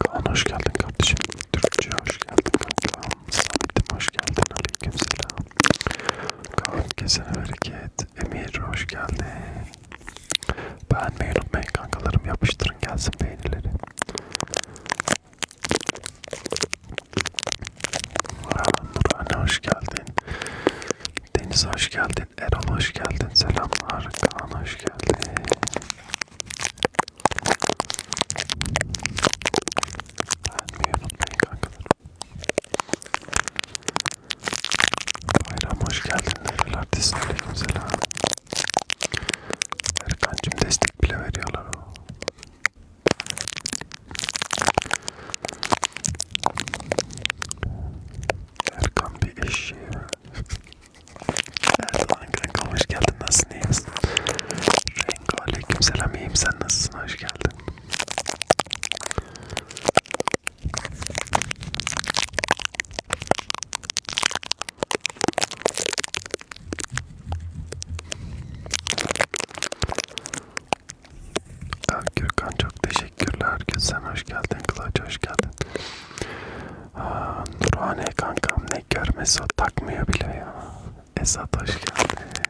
Kaan hoş geldin kardeşim. Türkçe hoş geldin kanka. Samet'im hoş geldin. Aleyküm selam. Kaan kesene hareket. Emir hoş geldin. Beğenmeyi unutmayın kankalarım. Yapıştırın gelsin beğenileri. Nurhan hoş geldin. Deniz hoş geldin. Erol hoş geldin. Selamlar. Kaan hoş geldin. Beğenmeyi unutmayın kankalarım. Bayram hoş geldin. Nereler desin selam. Erkancım destek bile veriyorlar o. Erkan bir eşeği ver. Erdoğan kanka hoş geldin nasılsın iyiyiz? Renko aleyküm selam iyiyim sen nasılsın hoş geldin. Gürkan çok teşekkürler. Gülsen hoş geldin. Kılıç hoş geldin. Aa, Nurhane kankam ne görmesi o takmıyor bile ya. Esat hoş geldin.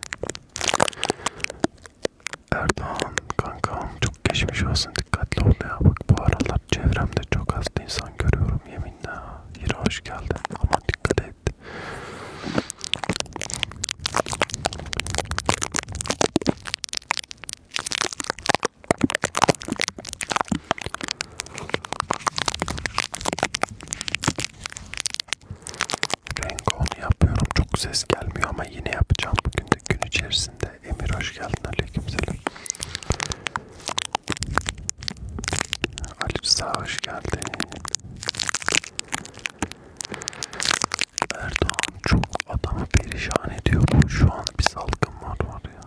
Erdoğan kankam çok geçmiş olsun dikkatli ol ya. Bak bu aralar çevremde çok az insan görüyorum yeminle. Hira hoş geldin ama dikkat et. Renk yapıyorum. Çok ses gelmiyor ama yine yapacağım bugün de gün içerisinde. Emir hoş geldin. Aleykümselam. Alif sağ hoş geldin. Erdoğan çok adamı perişan ediyor. Bu şu an bir salgın var var ya.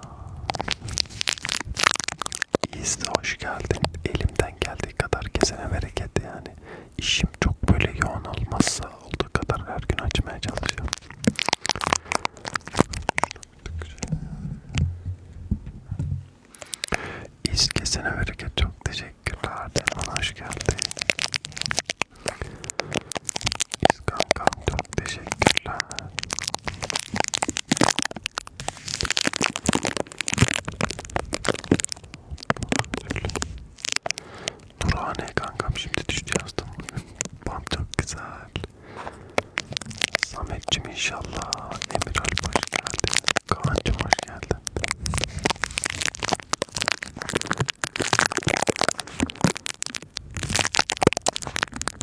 İyisi de hoş geldin. Elimden geldiği kadar kesene bereket yani. İşim çok böyle yoğun olmazsa olduğu kadar her gün açmaya çalışıyorum. İz kesene bereket çok teşekkürler. Bana hoş geldin. İz kankam çok teşekkürler. Durhane kankam şimdi düştü yazdım. Bam çok güzel. Samet'cim inşallah. Emir Alp hoş geldin. Kaan'cım hoş geldin.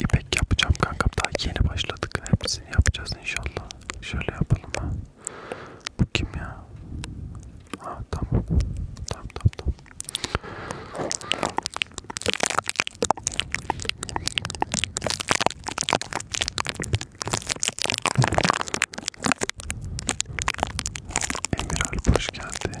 İpek yapacağım kankam daha yeni başladık hepsini yapacağız inşallah şöyle yapalım ha bu kim ya ha tamam tamam tamam, tamam. Emir Alp hoş geldin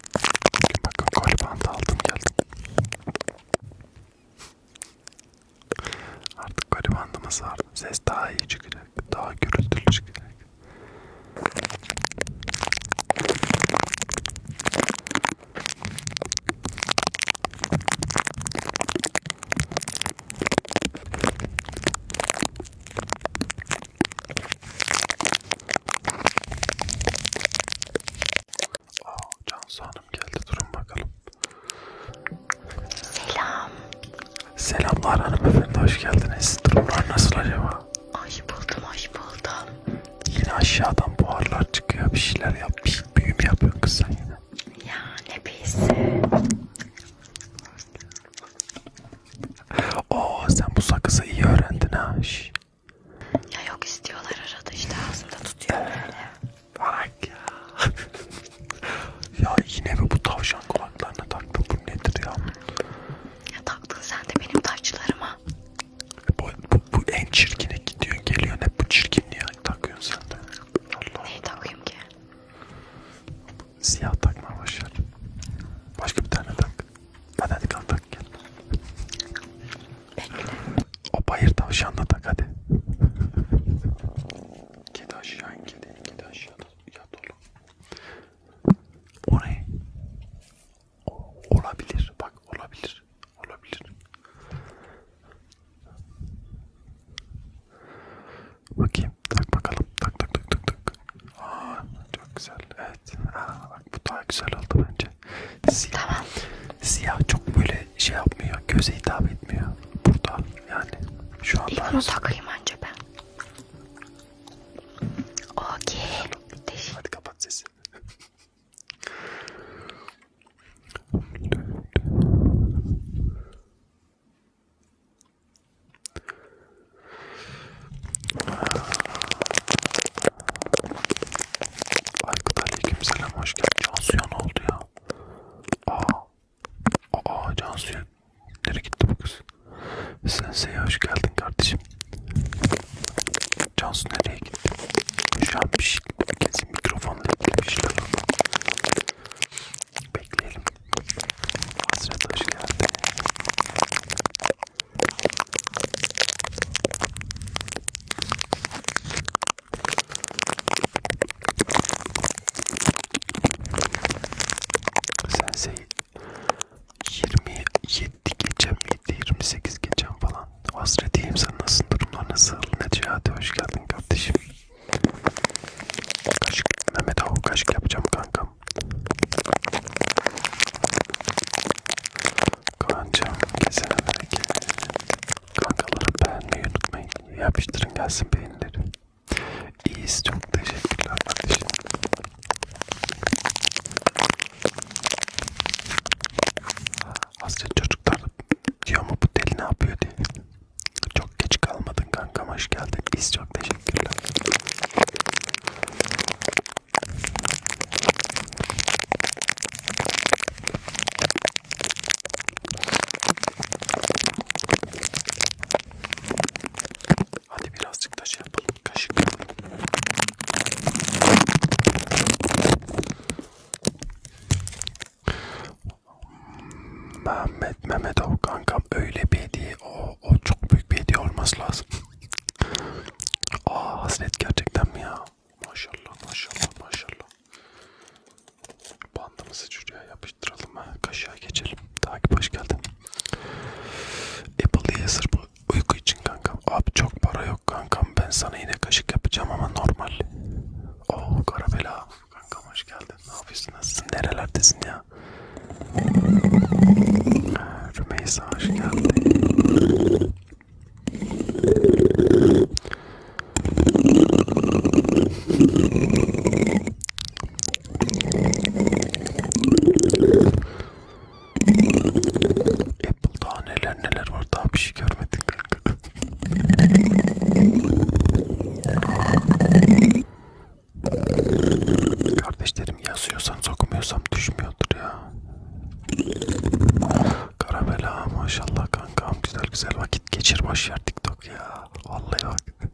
Bugün bakın kolbanda aldım geldim. Artık kolbandımı sardım. Ses daha iyi çıkacak. Daha gürültülü çıkacak. Oh, Cansu Hanım geldi durun bakalım. Selam. Selamlar hanımefendi hoş geldiniz. Durumlar nasıl acaba? Hoş buldum hoş buldum. Yine aşağıdan buharlar çıkıyor bir şeyler yap. Bir büyüm yapıyorsun kız sen yine. Ya ne büyüsü. Oo sen bu sakızı iyi öğrendin ha. Şş. Ya yok istiyorlar arada işte ağzımda tutuyor böyle. Bak ya. ya yine mi bu tavşan kulaklarına taktın bu nedir ya? Ya taktın sen de benim taşlarıma. Bu, bu, bu en çirkine gidiyorsun geliyorsun hep bu çirkinliği takıyorsun sen de. Allah. Neyi takayım ki? Siyah takma başlar. Başka bir tane tak. Hadi hadi kalk kalk gel. Bekle. O bayır tavşanla tak hadi. Kedi aşağı in kedi. Kedi aşağı yat oğlum. O ne? O, olabilir bak olabilir. Olabilir. Bakayım tak bakalım tak tak tak tak tak. Aa, çok güzel evet. Aa, Bak bu daha güzel oldu bence. Siyah, tamam. siyah çok böyle şey yapmıyor, göze hitap etmiyor. Burada yani şu an. İlk bunu takayım önce ben. Okey. Hadi kapat sesi. Aykut aleykümselam hoş geldin. Cansu'ya ne oldu ya? Aa, aa Cansu'ya nereye gitti bu kız? Sensei'ye hoş geldin kardeşim. Cansu nereye gitti? Şu an bir şey, kesin mikrofonla ilgili bir şeyler oldu. Bekleyelim. Hasret hoş geldin. Sensei 27 geçen miydi 28 geçen falan hasretiyim sen nasıl durumlar nasıl Necati hoş geldin kardeşim kaşık Mehmet Ahu kaşık yapacağım kankam Kancam kesene bereket. Kankaları beğenmeyi unutmayın. Yapıştırın gelsin beğenileri. İyiyiz çok teşekkürler kardeşim. Hasret çocuklar diyor mu bu deli ne yapıyor diye. Çok geç kalmadın kankam hoş geldin. İyiyiz çok teşekkürler. Hadi birazcık da şey yapalım. Kaşık yapalım. Mehmet Mehmetov kankam öyle bir hediye o, o çok büyük bir hediye olması lazım. Aa hasret gerçekten mi ya? Maşallah maşallah maşallah. Bandımızı şuraya yapıştıralım ha. Kaşığa geçelim. Takip hoş geldin. Apple diye sırf uyku için kankam. Abi çok para yok kankam. Ben sana yine kaşık yapacağım ama normal. Oo oh, Karabela. Kankam hoş geldin. Ne yapıyorsun? Nasılsın? Nerelerdesin ya? Rümeysa hoş geldin. Apple daha neler neler var daha bir şey görmedik. Kardeşlerim yazıyorsan sokmuyorsam düşmüyordur ya. Karamela maşallah kankam güzel güzel vakit geçir boş yer TikTok ya. Vallahi bak.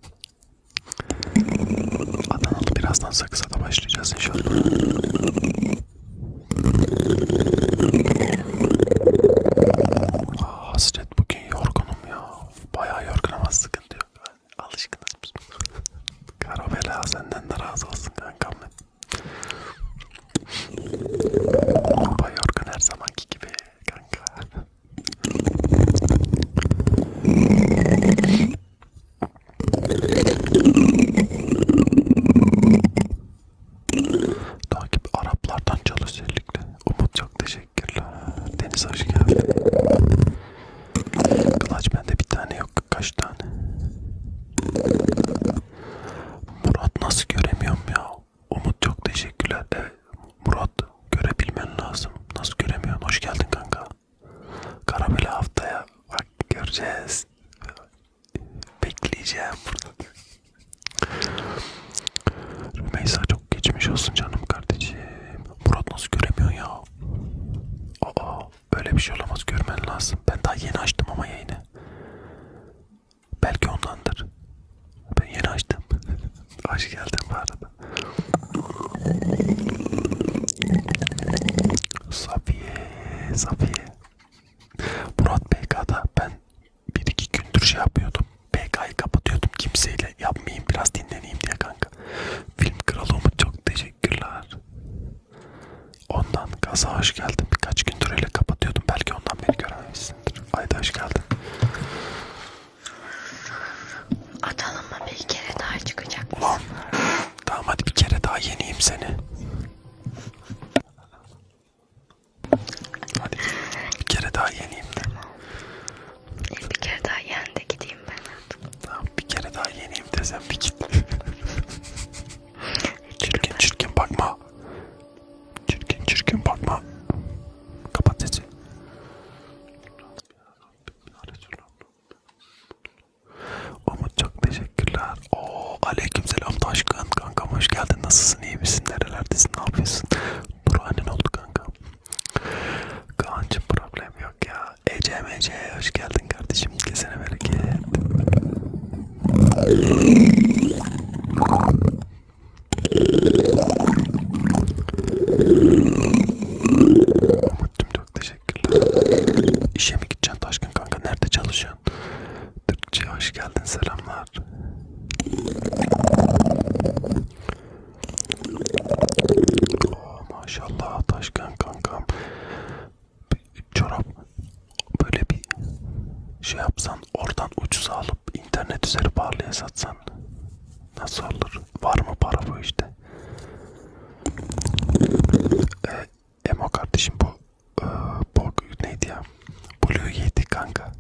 Adanalı birazdan sakıza da başlayacağız inşallah. Aa, ah, hasret bugün yorgunum ya. Bayağı yorgun ama sıkıntı yok. Yani alışkınız. Karamela senden de razı olsun kankam. Bayorgun her zamanki gibi kanka. Takip Araplardan çalış özellikle. Umut çok teşekkürler. Deniz hoş geldin. Kılıç bende bir tane yok. Kaç tane? Murat nasıl göremiyorum ya? Umut çok teşekkürler. Evet, Murat görebilmen lazım. Nasıl göremiyorsun? Hoş geldin kanka. Karabeli haftaya bak göreceğiz. Bekleyeceğim burada. Rümeysa çok geçmiş olsun canım kardeşim. Murat nasıl göremiyorsun ya? Aa böyle bir şey olamaz görmen lazım. Ben daha yeni açtım ama yayını. Belki ondandır. Ben yeni açtım. Aç geldim bu arada. Safiye, Safiye. Murat PK'da ben bir iki gündür şey yapıyordum. PK'yı kapatıyordum kimseyle yapmayayım biraz dinleneyim diye kanka. Film kralı Umut çok teşekkürler. Ondan gaza hoş geldin. Birkaç gündür öyle kapatıyordum. Belki ondan beni görememişsindir. Ayda hoş geldin. Atalım mı bir kere daha çıkacak Ulan. Tamam hadi bir kere daha yeneyim seni. Hadi bir kere daha yeneyim de. E bir kere daha yen de gideyim ben artık. Tamam bir kere daha yeneyim de sen bir git. çirkin çirkin bakma. Çirkin çirkin bakma. Kapat sesi. Umut çok teşekkürler. Oo, aleykümselam Taşkın. Kankam hoş geldin. Nasılsın? İyi misin? Nerelerdesin? Ne yapıyorsun? Dur annen oldu kanka. Kaan'cım problem yok ya. Ece Mece hoş geldin kardeşim. Kesene bereket. Muttum çok teşekkürler. İşe mi gideceksin Taşkın kanka? Nerede çalışıyorsun? Türkçe hoş geldin selamlar. Oo, oh, maşallah Taşkın kankam çorap böyle bir şey yapsan oradan ucuza alıp internet üzeri pahalıya satsan nasıl olur? Var mı para bu işte? Ee, Emo kardeşim bu e, bu neydi ya? Blue yedi kanka.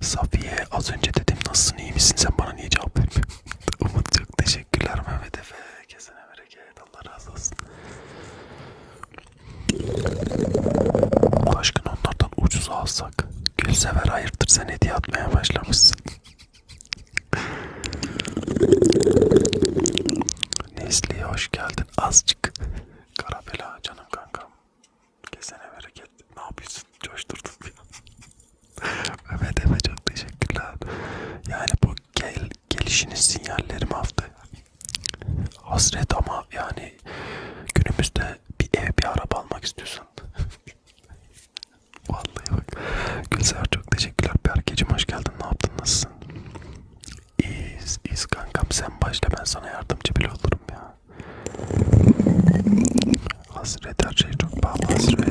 Safiye az önce dedim nasılsın iyi misin sen bana niye cevap vermiyorsun? Umut çok teşekkürler Mehmet Efe. Kesene bereket Allah razı olsun. Aşkın onlardan ucuz alsak. Gülsever hayırdır sen hediye atmaya başlamışsın. Nesli'ye hoş geldin azıcık. Karabela canım kankam. Kesene bereket. Ne yapıyorsun? Coşturdun bir Mehmet Efe çok teşekkürler. Yani bu gel, gelişiniz sinyallerim hafta hasret ama yani günümüzde bir ev bir araba almak istiyorsun. Vallahi bak. Gülser çok teşekkürler. Berkeciğim hoş geldin. Ne yaptın? Nasılsın? İyiyiz. İyiyiz kankam. Sen başla ben sana yardımcı bile olurum ya. Hasret her şey çok pahalı. Hasret.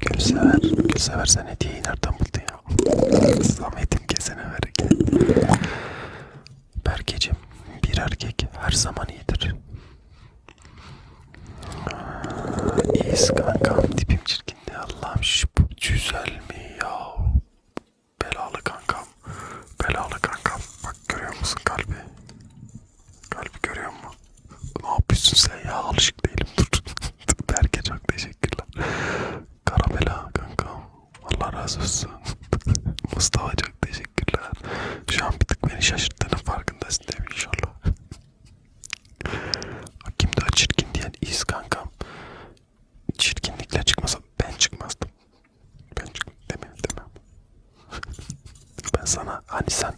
Gülsever, Gülsever sen hediyeyi nereden buldun ya? Samet'im kesene ver. Berkeciğim, bir erkek her zaman iyidir. İyiyiz kankam, tipim çirkindi. Allah'ım şu güzel mi ya? Belalı kankam, belalı kankam. Bak görüyor musun kalbi? Kalbi görüyor musun? Ne yapıyorsun sen ya? Alışık değilim. Dur. Berke çok teşekkürler. Karamela kanka. Allah razı olsun. Mustafa çok teşekkürler. Şu an bir tık beni şaşırttığının farkındasın değil mi inşallah? Kim daha çirkin diyen iz kankam. Çirkinlikle çıkmasa ben çıkmazdım. Ben çıkmam. Demem demem. ben sana hani sen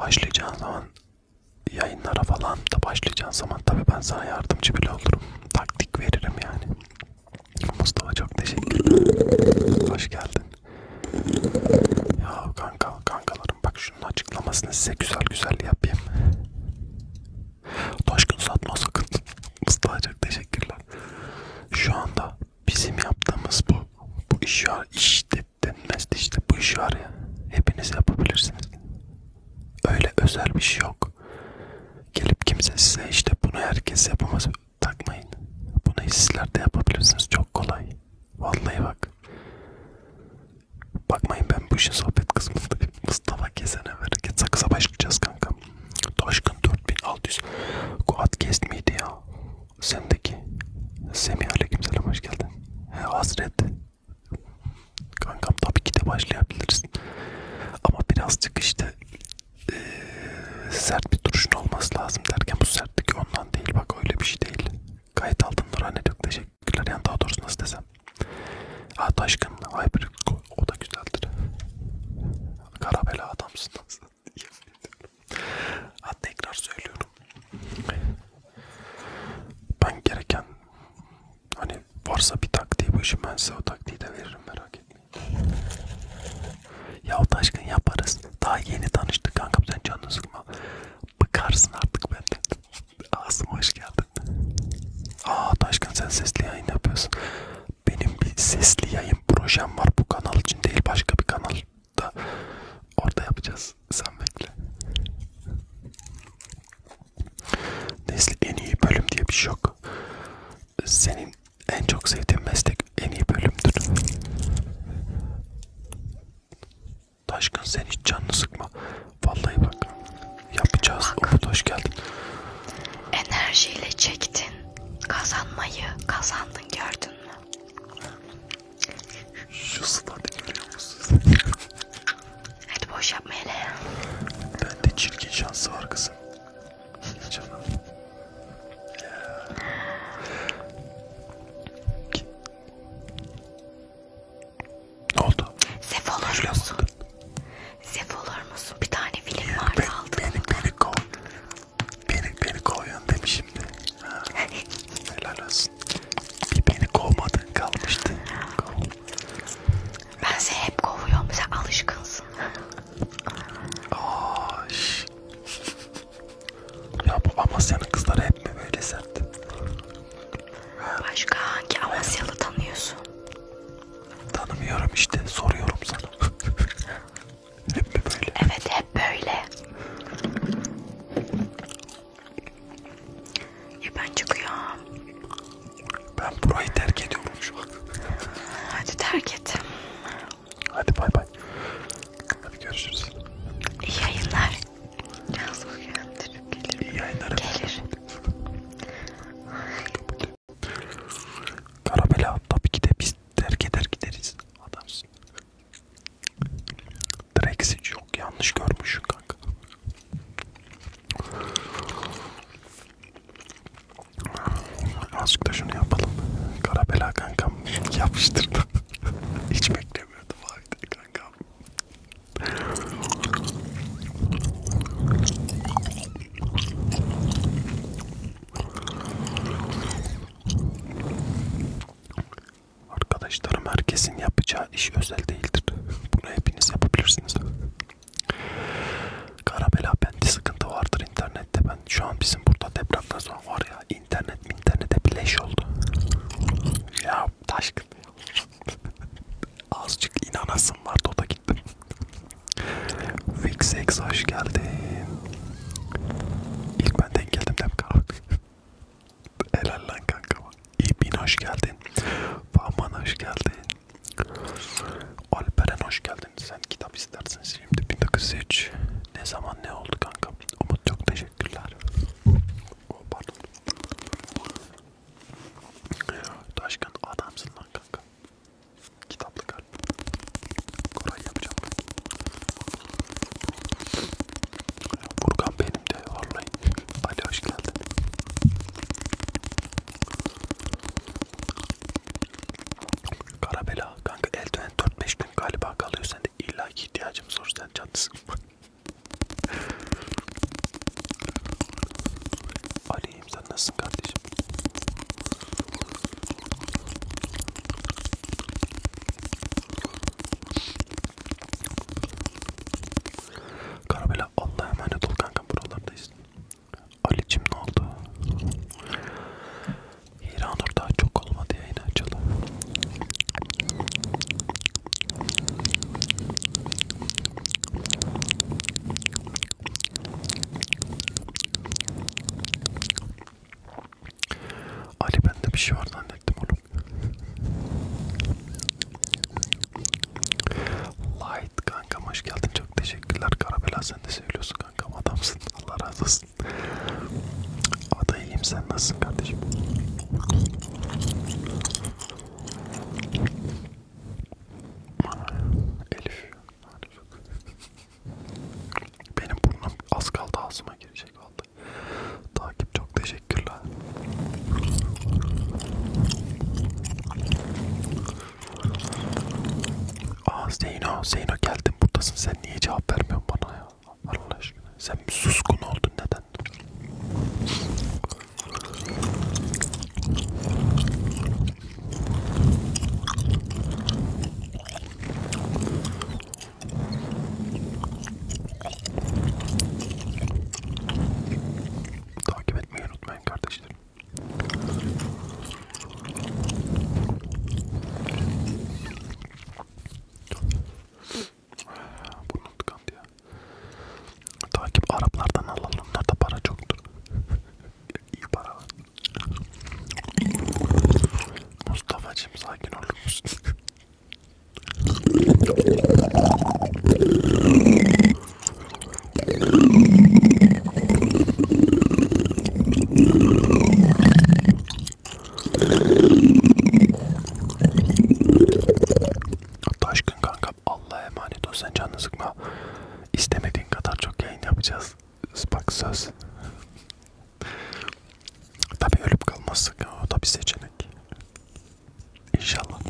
Başlayacağın zaman yayınlara falan da başlayacağın zaman tabi ben sana yardımcı bile olurum. Taktik veririm yani. Mustafa çok teşekkür ederim. Hoş geldin. Ya kanka kankalarım bak şunun açıklamasını size güzel güzel yapayım. Taşkın satma sakın. Mustafa çok teşekkürler. Şu anda bizim yaptığımız bu bu iş var işte denmez işte bu iş var ya hepiniz yapabilirsiniz. Öyle özel bir şey yok. Gelip kimse size işte bunu herkes yapamaz takmayın. Bunu sizler de yapabilirsiniz çok kolay. Vallahi bak. Bakmayın ben bu işin sohbet kısmındayım. Mustafa Kesen'e vererek sakıza başlayacağız kanka. Taşkın 4600. Kuat kesmiydi ya sendeki Semih Aleykümselam hoş geldin. He, hasret. Kankam tabii ki de başlayabiliriz. Ama birazcık işte e, sert bir duruşun olması lazım derken bu sertlik ondan değil bak öyle bir şey değil. Gayet altın Nurhan'a çok teşekkürler. Yani daha doğrusu nasıl desem. Ha Taşkın, Hyper, o da güzeldir. Karabela adamsınız. Ha, tekrar söylüyorum. Ben gereken hani varsa bir taktiği bu işin ben size o taktiği de veririm merak etmeyin. Ya o taşkın yaparız. Daha yeni tanıştık kanka sen canını sıkma. Bıkarsın artık benden. Asım hoş geldin. Aa Taşkın sen sesli yayın yapıyorsun. Benim bir sesli yayın projem var bu kanal için değil başka bir kanal da orada yapacağız. Sen bekle. Neyse en iyi bölüm diye bir şey yok. Senin en çok sevdiğin meslek en iyi bölümdür. Taşkın sen hiç canını sıkma. Vallahi bak yapacağız. Umut hoş geldin. Enerjiyle çektin. Kazanmayı kazandın gördün mü? Şu stadı görüyor musun? Hadi boş yapma hele ya. Bende çirkin şansı var kızım. Canım. Ya. Ne oldu? Sef olur musun? Sef olur musun? Bir tane film vardı aldım. Beni, beni, beni kov. Beni, beni koyun demiş şimdi. Ha. Helal olsun. Bir beni kovmadın kalmıştı. Kov. Ben seni hep kovuyorum. Sen alışkınsın. Aa, şş. Ya bu Amasya'nın kızları hep mi böyle sert? Başka hangi Amasyalı tanıyorsun? Tanımıyorum işte. Soruyorum sana. Hep mi böyle? Evet hep böyle. Ya ben çıkıyorum. Ben burayı terk ediyorum şu an. Hadi terk et. Hadi bay bay. Hadi görüşürüz. İyi yayınlar. Yalnız uyandırıp gelir. İyi yayınlar. Gelir. Karabela tabii ki de biz terk eder gideriz. Adamsın. Drexit yok yanlış görmüşsün kanka. Azıcık da şunu yapalım. Karabela kankam yapıştırdı. Hiç beklemiyordum abi kankam. Arkadaşlarım herkesin yapacağı iş özel değildir. Bunu hepiniz yapabilirsiniz. Karabela bende sıkıntı vardır internette. Ben şu an bizim burada depremden sonra var ya internet mi internete bileş oldu. Ya taşkın. Azıcık inanasım vardı o da gittim. Fixex hoş geldin. İlk ben denk geldim değil mi Helal lan kanka bak. İbin hoş geldin. Fahman hoş geldin. Alperen hoş geldin. Sen kitap istersin şimdi 1903. Ne zaman ne oldu kanka? Umut çok teşekkürler. Oh, pardon. Taşkın adamsın lan kanka. Kitaplık al. Koray yapacağım. Burkan benim de vallahi. Ali hoş geldin. Karabela kanka eldiven 4-5 gün galiba kalıyor sende illa ki ihtiyacımız olur sen canlısın. Ali'yim sen nasılsın kardeşim? Karabela Allah'a emanet ol kanka buralardayız. Ali'cim ne oldu? İranur daha çok olmadı yayın açalım. Ali bende bir şey var zannettim oğlum. Light kankam hoş geldin çok teşekkürler. Karabela sen de seviyorsun kankam adamsın. Allah razı olsun. Ada iyiyim sen nasılsın kardeşim? Elif. Benim burnum az kaldı ağzıma girecek valla. Takip çok teşekkürler. Aa Zeyno, Zeyno geldin buradasın sen niye cevap vermiyorsun bana ya? Allah aşkına sen bir suskun oldun neden? Takip etmeyi unutmayın kardeşlerim. Burnum tıkandı ya. Takip Araplardan alalım. Onlarda para çoktur. İyi para var. Mustafa'cığım sakin olur musun? Taşkın kanka Allah'a emanet ol sen canını sıkma. İstemediğin kadar çok yayın yapacağız. Bak söz. Tabi ölüp kalmazsak o da bir seçenek. İnşallah.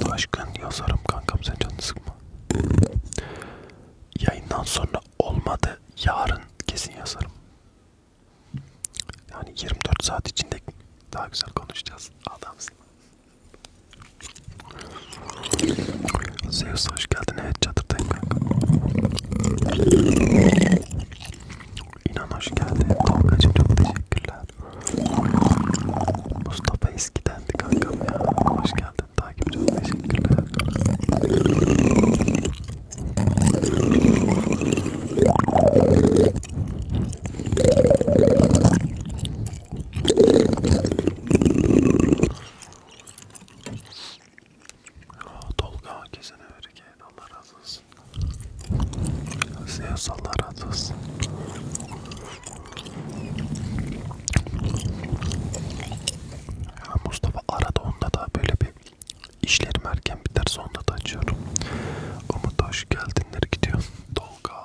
Taşkın yazarım kankam sen canını sıkma. Yayından sonra olmadı yarın kesin yazarım. Yani 24 saat içinde daha güzel konuşacağız. Adamsın. Zeus hoş geldin. Evet çadırdayım kanka. İnan hoş geldin. Kankacım çok teşekkürler. Mustafa eskidendi kankam ya. Hoş geldin. Takip çok teşekkürler. Tolga kesene vergi Allah razı olsun. Size Allah razı olsun. Mustafa arada onda da böyle bir işlerim erken biterse onda da açıyorum. Umut hoş geldin. Zeytinler gidiyor. Dolga.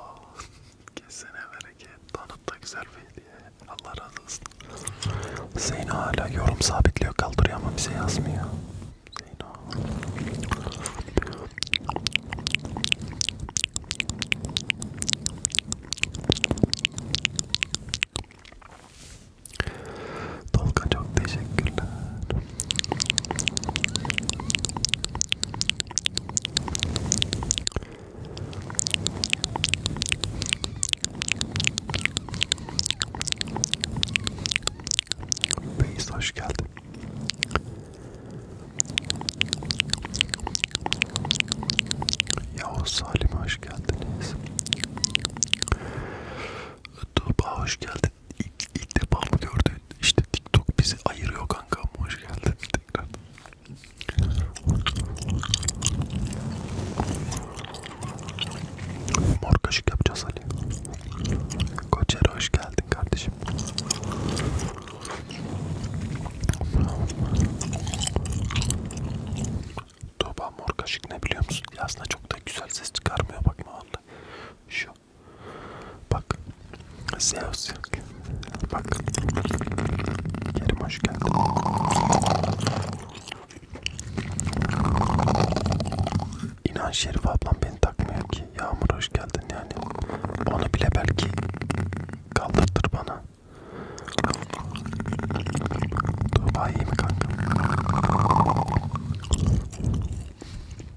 Kesene bereket. Tanıt da güzel bir hediye. Allah razı olsun. Zeyno hala yorum sabitliyor kaldırıyor ama bize yazmıyor. Zeyno. Dolga çok teşekkürler. Beyz hoş geldin. Yavuz Salim hoş geldiniz. Tuğba hoş geldin ilk, ilk defa mı gördün? İşte TikTok bizi ayırıyor kanka. Hoş geldin tekrar. Mor kaşık yapacağız Ali. Koçer hoş geldin kardeşim. Toba mor kaşık ne biliyor musun? Ya aslında çok da güzel ses çıkarmıyor bakma vallahi. Şu Bak. Zeus. Bak. Kerim hoş geldin. İnan Şerif ablam beni takmıyor ki. Yağmur hoş geldin yani. Onu bile belki kaldırtır bana. Tuğba iyi mi kanka?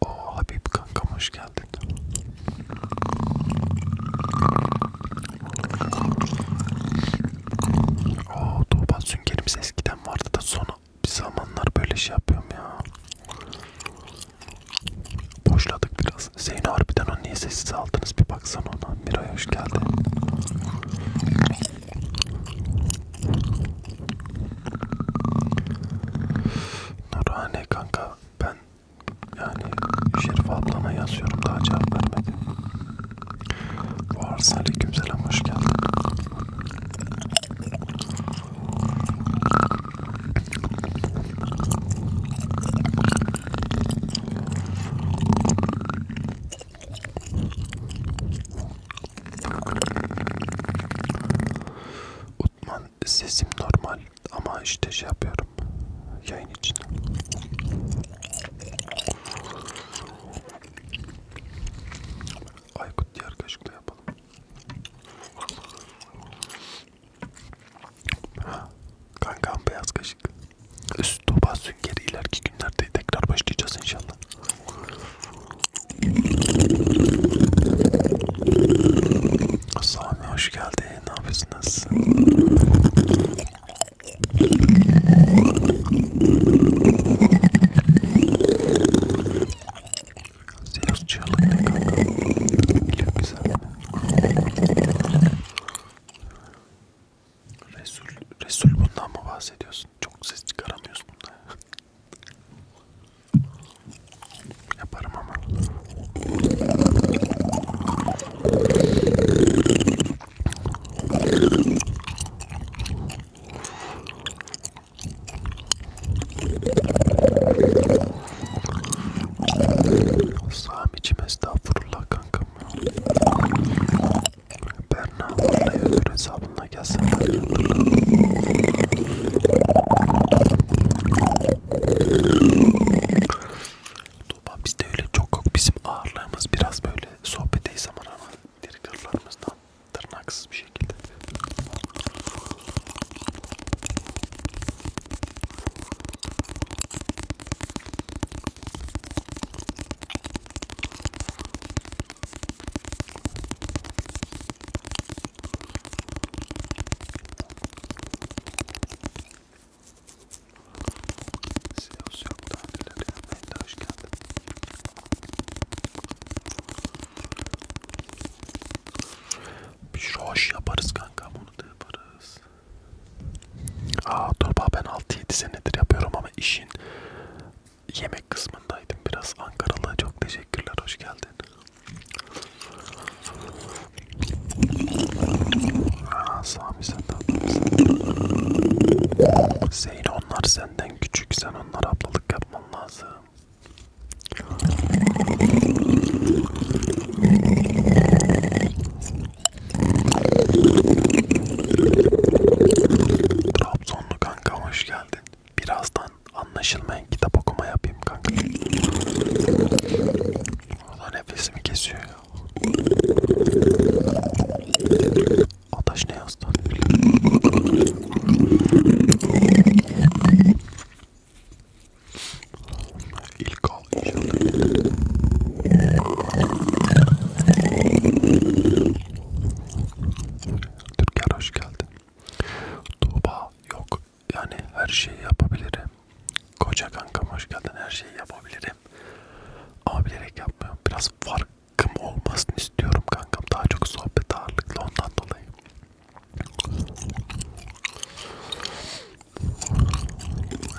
O Habib kankam hoş geldin. O Tuğba süngerimiz eskiden vardı da sonra bir zamanlar böyle şey yapıyorum ya. Boşladık biraz. Zeyno harbiden onu niye sessiz aldınız bir baksana ona. Miray hoş geldin. Nurhane kanka ben yani Şerif ablana yazıyorum daha cevap vermedi. Bu arz aleykümselam hoş geldin. Utman an sesim normal ama işte şey yapıyorum yayın için. Aykut diğer kaşıkla yapalım. Ha, kankam beyaz kaşık. Üst topa süngeri ileriki günlerde tekrar başlayacağız inşallah. Sami hoş geldin. Ne yapıyorsunuz? Senin çığlık ne kanka? Çok güzel. Resul, Resul bundan mı bahsediyorsun? Çok ses çıkaramıyorsun bunda. Yaparım ama. Sami'cim estağfurullah kankam. Berna oraya öbür hesabına gelsen. Tuğba bizde öyle çok yok. Bizim ağırlığımız biraz böyle sohbeteyiz zaman ama triggerlarımızdan tırnaksız bir şekilde. Siyos yok daha neler ya. Ben de hoş geldin. Bir hoş yaparız kanka bunu da yaparız. Aa dur bak ben 6-7 senedir yapıyorum ama işin yemek kısmındaydım biraz Ankaralı çok teşekkürler hoş geldin. Ah, Sami sen de Zeyn onlar senden küçük sen onlara ablalık yapman lazım. Trabzonlu kanka hoş geldin. Birazdan Buradan anlaşılmayan kitap okuma yapayım kanka. Burada nefesimi kesiyor ya. Ataş ne yazdı? İlk al inşallah. Türker hoş geldin. Tuğba yok yani her şeyi yapabilirim. Koca kankam hoş geldin her şeyi yapabilirim. Ama bilerek yapmıyorum. Biraz farkım olmasını istiyorum kankam. Daha çok sohbet ağırlıklı ondan dolayı.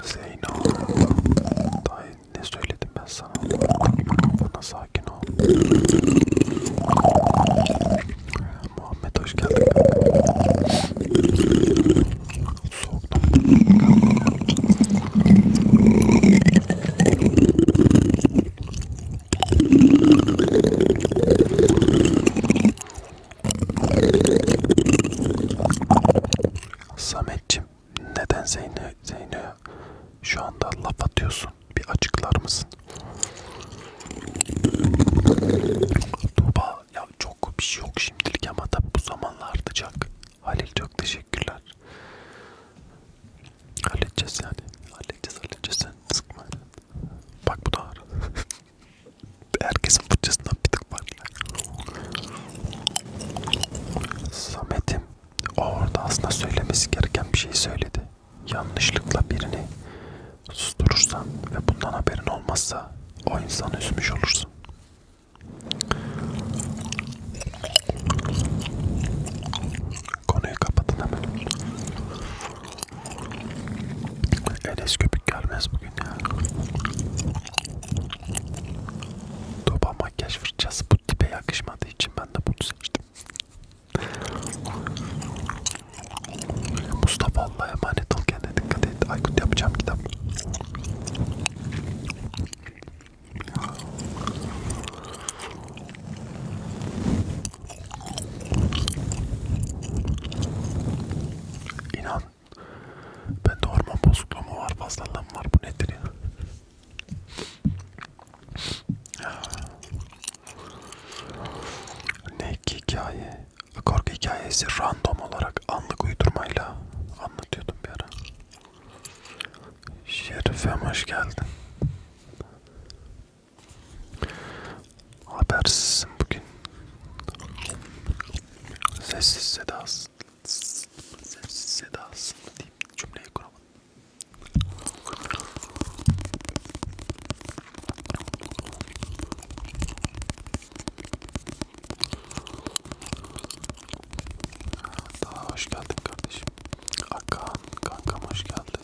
Zeyno. Daha ne söyledim ben sana? Bana sakin ol. Muhammed hoş geldin. Soğuktan. Sametçim neden Zeyno Zeyno şu anda laf atıyorsun? Bir açıklar mısın? Tuba ya ya çok bir şey yok şimdilik ama tabi bu zamanla artacak. Halil çok teşekkürler. Halledeceğiz yani. Halledeceğiz halledeceğiz sen sıkma. Bak bu da ağır. Herkesin fırçasından bir tık var. Samet'im orada aslında söylemesi gereken bir şey söyledi. Yanlışlıkla birini susturursan ve bundan haberin olmazsa o insanı üzmüş olursun. Konuyu kapatın hemen. Enes köpük gelmez bugün ya. Doba makyaj fırçası bu tipe yakışmadığı için ben de bunu seçtim. Mustafa Allah'a emanet ol kendine dikkat et. Aykut yapacağım kitap. İnan ben de hormon bozukluğu mu var fazlalığım var bu nedir ya? ne ki hikaye Korku hikayesi random olarak anlık uydurmayla anlatıyordum bir ara. Şerifem hoş geldin. Habersizsin bugün. Sessiz sedasın. Sessiz sedasın deyip cümleyi kuramadım. Daha hoş geldin kardeşim. Akan kankam hoş geldin.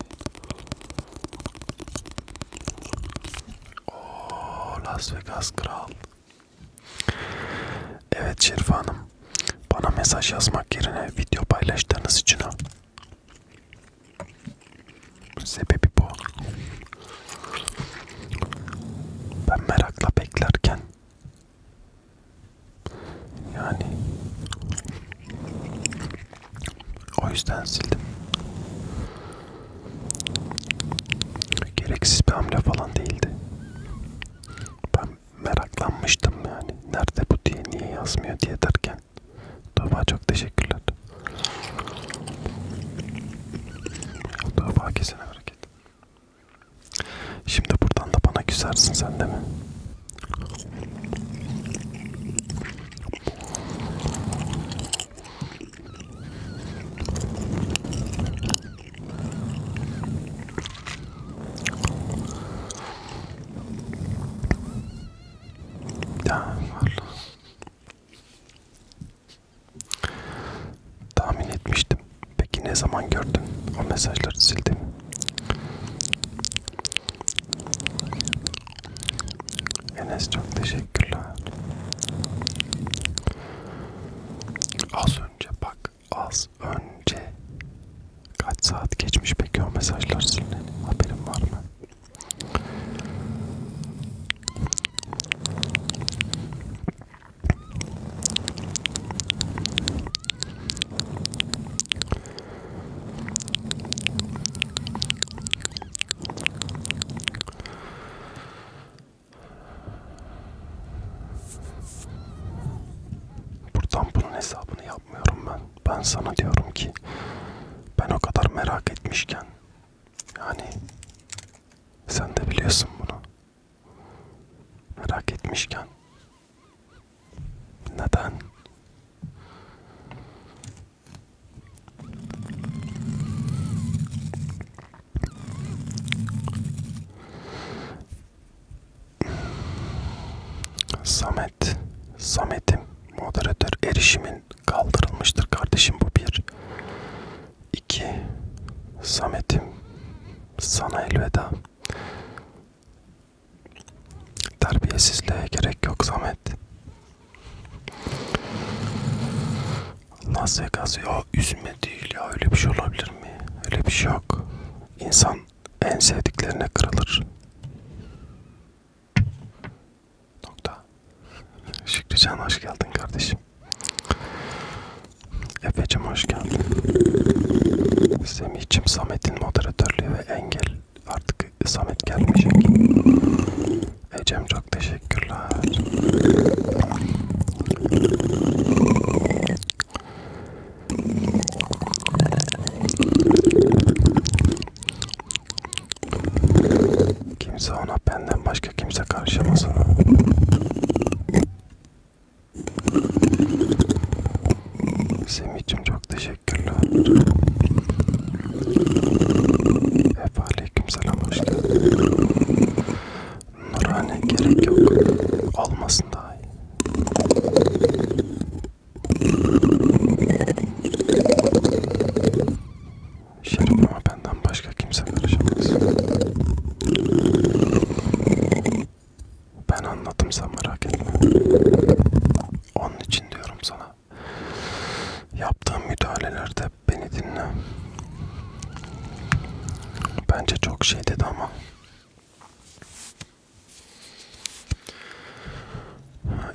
Oo Las Vegas kral. Evet Şerif Hanım. Bana mesaj yazmak yerine video paylaştığınız için o. Sebebi bu. Ben merakla beklerken yani o yüzden sildim. Gereksiz bir hamle falan değildi. Ben meraklanmıştım yani. Nerede bu diye niye yazmıyor diye derken. Tuğba çok teşekkürler. Dava kesene hareket. Şimdi buradan da bana küsersin sen de mi? Ya vallahi. Tahmin etmiştim. Peki ne zaman gördün? O mesajları sildim. Enes çok teşekkürler. Az önce bak, az önce kaç saat geçmiş peki o mesajlar silinen? Haberin var mı? Buradan bunun hesabını yapmıyorum ben. Ben sana diyorum ki ben o kadar merak etmişken yani sen de biliyorsun bunu. Merak etmişken. Neden? Samet, Samet'im, moderatör erişimin kaldırılmıştır kardeşim bu bir. 2 Samet'im sana elveda Terbiyesizliğe gerek yok Samet Las Vegas ya üzme değil ya öyle bir şey olabilir mi? Öyle bir şey yok. İnsan en sevdiklerine kırılır. Nokta. Şükrücan hoş geldin kardeşim. Efe'cim hoş geldin. Semih'cim Samet'in moderatörlüğü ve engel artık Samet gelmeyecek. Ecem çok teşekkürler. Kimse ona benden başka kimse karışamaz ona. Semih'cim çok teşekkürler. Hep aleykümselam hoş geldin. Nurhane gerek yok. Olmasın daha iyi. Şerimleme benden başka kimse karışamaz. Ben anladım sen merak etme. Onun için diyorum sana. Yaptığım müdahalelerde beni dinle. Bence çok şey dedi ama.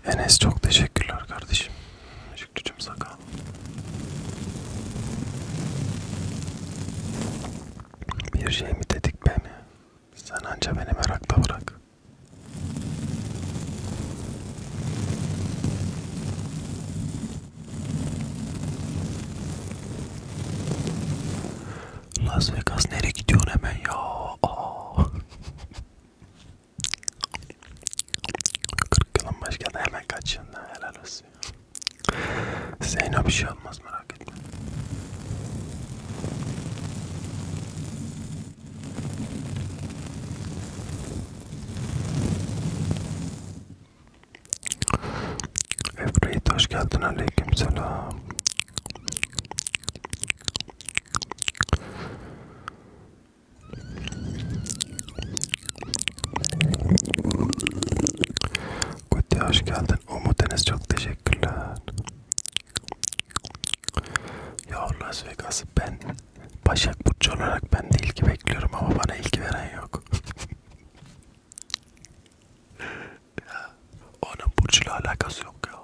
Enes çok teşekkürler kardeşim. Birazcık cücüm sakal. Bir şey mi dedik beni? Sen anca beni merakta bırak. Las Vegas nereye gidiyorsun hemen ya? 40 yılın başkanı hemen kaçıyorsun helal olsun. Zeyno bir şey olmaz merak etme. Efreyit hoş geldin aleyküm selam. Kuti hoş geldin. Umut Enes çok teşekkürler. Ya Las Vegas ben Başak Burcu olarak ben de ilgi bekliyorum ama bana ilgi veren yok. ya, onun Burcu'yla alakası yok ya.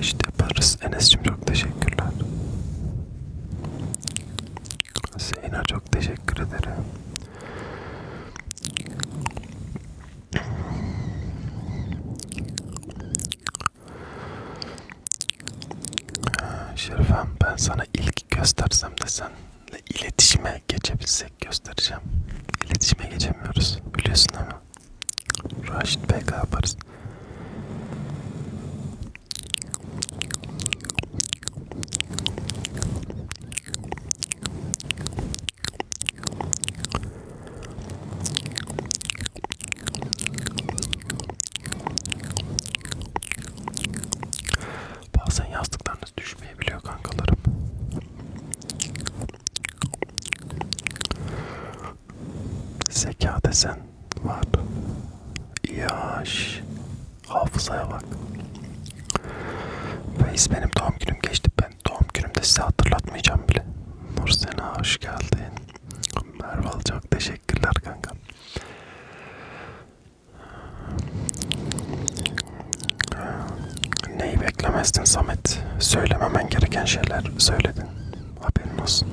İşte yaparız. Enes'cim çok teşekkürler. Zeyna çok teşekkür ederim. Şerifem ben sana ilk göstersem de senle iletişime geçebilsek göstereceğim. İletişime geçemiyoruz biliyorsun ama. Raşit Bey yaparız. Bazen yastıklarınız düşmeyebiliyor kankalarım. Zeka desen var. Yaş. Hafızaya bak. Veys benim doğum günüm geçti. Ben doğum günümde size hatırlatmayacağım bile. Nur Sena hoş geldin. Merve çok teşekkürler kanka. Neyi beklemezdin Samet? Söylememen gereken şeyler söyledin. Haberin olsun.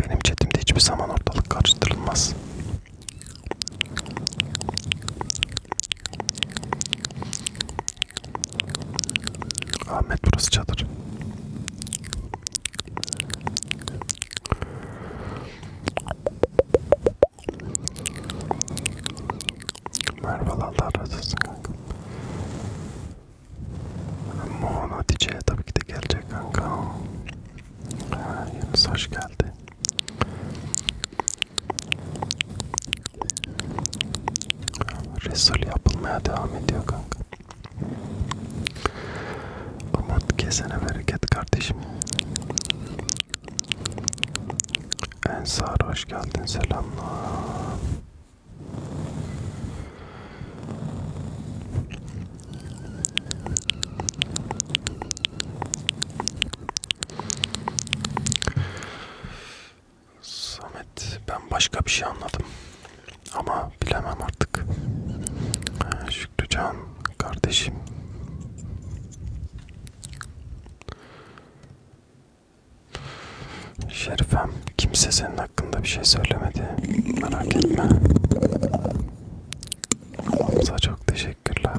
Benim chatimde hiçbir zaman ortalık karıştırılmaz. Ahmet burası çadır. Merhaba Allah razı olsun kanka. Mohan Hatice'ye tabii ki de gelecek kanka. Yunus hoş geldi. Resul yapılmaya devam ediyor kanka. Umut kesene bereket kardeşim. Ensar hoş geldin selamlar. Samet ben başka bir şey anladım ama bilemem artık. Ee, Şükrücan kardeşim. Şerifem kimse senin hakkında bir şey söylemedi. Merak etme. Hamza çok teşekkürler.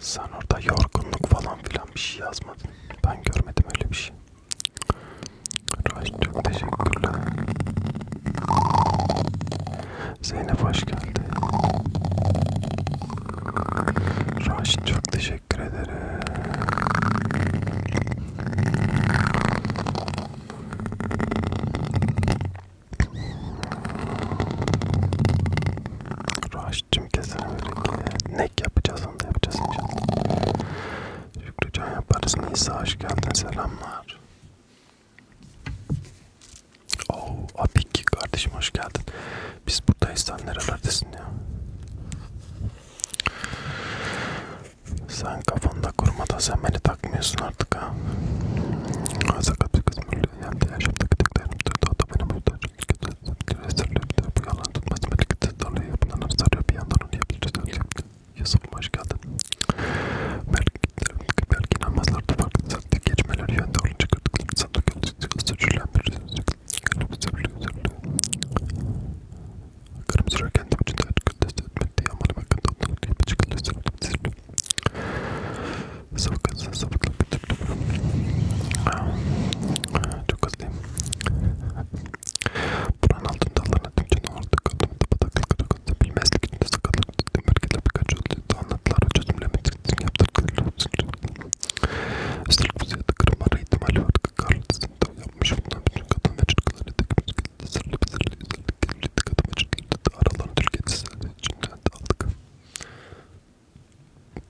Sen orada yorgunluk falan filan bir şey yazmadın. Ben görmedim öyle bir şey. Raş çok teşekkürler. Zeynep hoş geldi. Raşit çok teşekkür ederim. Raşit'cim kesin öyle Nek yapacağız onu da yapacağız inşallah. Şükrü Can yaparız. Nisa hoş geldin selamlar. Oo, Apik kardeşim hoş geldin. Biz buradayız sen nerelerdesin ya? Sen kafanda kurmada sen beni takmıyorsun artık ha. Sakat bir kız böyle hem de yaşamdaki teklerim duydu o da beni burada kötü gösteriyor bir de bu yalan tutmaz meleketi dalıyor bundan sarıyor bir yandan onu yapıyor. Yusuf'um hoş geldin. Belki, belki namazlarda farklı saatlik geçmeler yönde olunca kırdıkları sandık yolu suçlanmıyoruz. Gönlümüzü biliyor, üzüldü. Karım sürerken de vücudu açık test etmekte yamanım hakkında onları diye bir çıkılıyor sanırım zirve. Sabıkasın sabıkla bitirdim. Çok hızlıyım. Buranın altında Allah'ın tüm canı orada kaldım da bataklık hakkında bilmezlik içinde sıkıldık dedim. Belki de birkaç öldü. Anlatılara çözümlemedik. Yaptırdıkları olsun. Üstelik bu ziyade kırım ara ihtimali vardı. Karlısını da yapmış. Bundan bütün kadın ve çocuklar etekimiz geldi. Sırlı bir sırlı izledik. Gelirdi kadın ve çocuklar da aralarını Türkiye'de sildi. İçimden de aldık.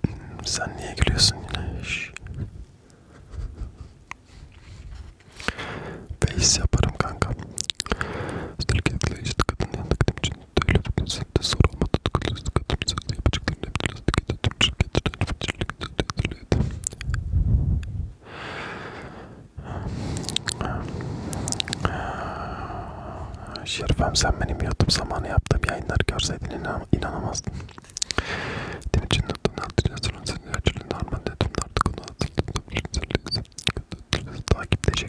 Hmm, sen niye gülüyorsun yine? Şşş. Face yaparım kanka. Üstelik etkileyici kadın yandıktım için devletin sende sorulma tutuklu kadın sözü yapacaklarını yaptırdık ya da tüm şirketler elbetçilik de edilirdi. Şerifem sen benim YouTube zamanı yaptığım yayınları görseydin inan inanamazdın. Tim için noktan altı yasının senin harman dedim artık onu hazırladım. Takipte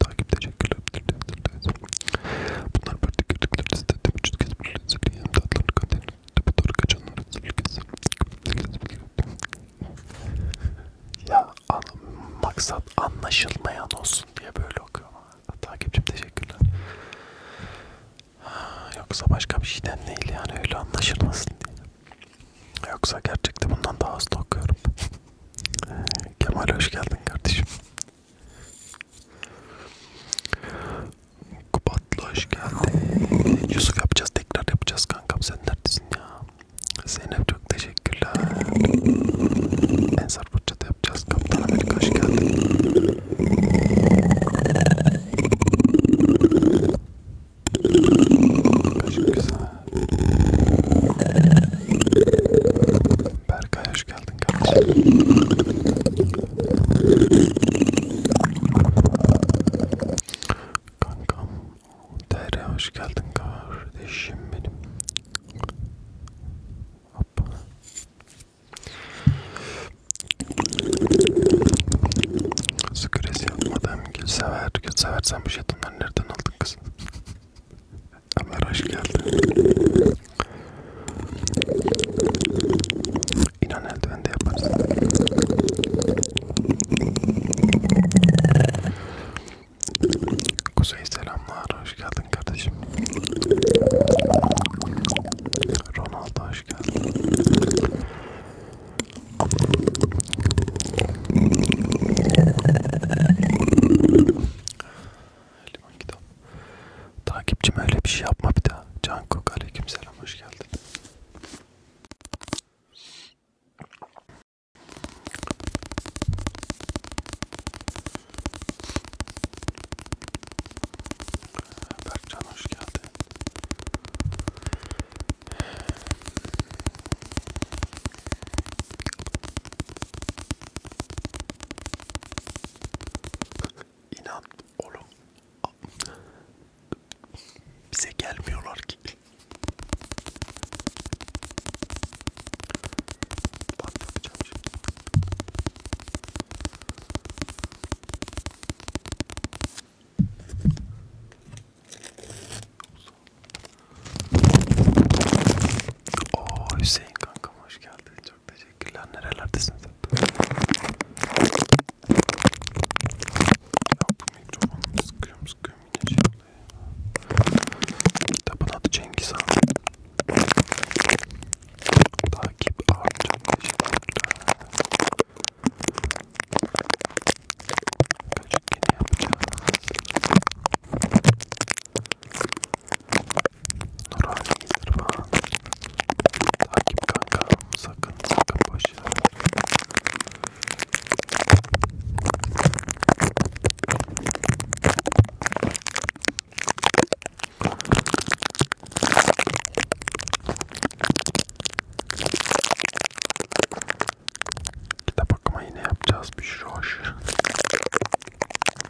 takip teşekkürler. Bunlar böyle gördükleri listede vücut kesmiş lezzetli yanımda atlarını kaderini tepe doğru kaçanları Ya an, maksat anlaşılmayan olsun diye böyle okuyorum. Takipçim teşekkürler. Yoksa başka bir şeyden değil yani öyle anlaşılmasın diye. Yoksa gerçekten bundan daha hasta okuyorum. Kemal hoş geldin kardeşim. Kubatlı hoş geldin. Yusuf yapacağız tekrar yapacağız kankam sen neredesin ya? Zeynep çok teşekkürler. Ensar Burçat'ı yapacağız. Kaptan Amerika hoş geldin. Çok güzel. Berkay hoş geldin kardeşim. Kankam Tere hoş geldin kardeşim benim. Hop. Sıkres yapmadım. Gülsever. Gülsever sen bu jetonları nereden aldın kız? Ömer hoş geldin. İnan eldiven de yaparsın. Kuzey selamlar, hoş geldin kardeşim. Ronaldo hoş geldin. Liman kitap. Takipçim öyle bir şey yapma bir daha. Cankuk aleykümselam hoş geldin. Berkcan hoş geldin. İnan oğlum bize gelmiyorlar ki. Bak yapacağım şimdi. Oo Hüseyin kankam hoş geldin. Çok teşekkürler. Nerelerdesin sen? Ya bu mikrofonu sıkıyorum sıkıyorum yine şey oluyor ya. Kitabın adı Cengiz Han. Takip artık teşekkürler. Kaçık yeni yapacağız. Nurhane İrfan Takip kanka sakın sakın boşver Kitap okuma yine yapacağız bir şoş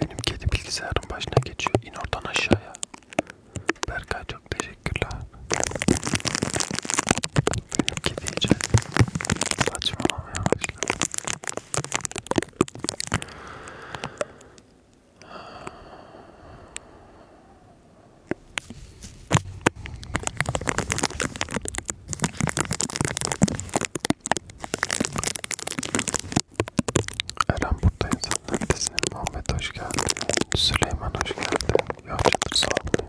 Benim kedi bilgisayarın başına geçiyor. İn oradan aşağıya. Berkay çok teşekkürler. Benim kedi iyice saçmalamaya başladı. Eren buradayım sen neredesin? Muhammed hoş geldin. Süleyman hoş geldin. Yavşatır sağ olun.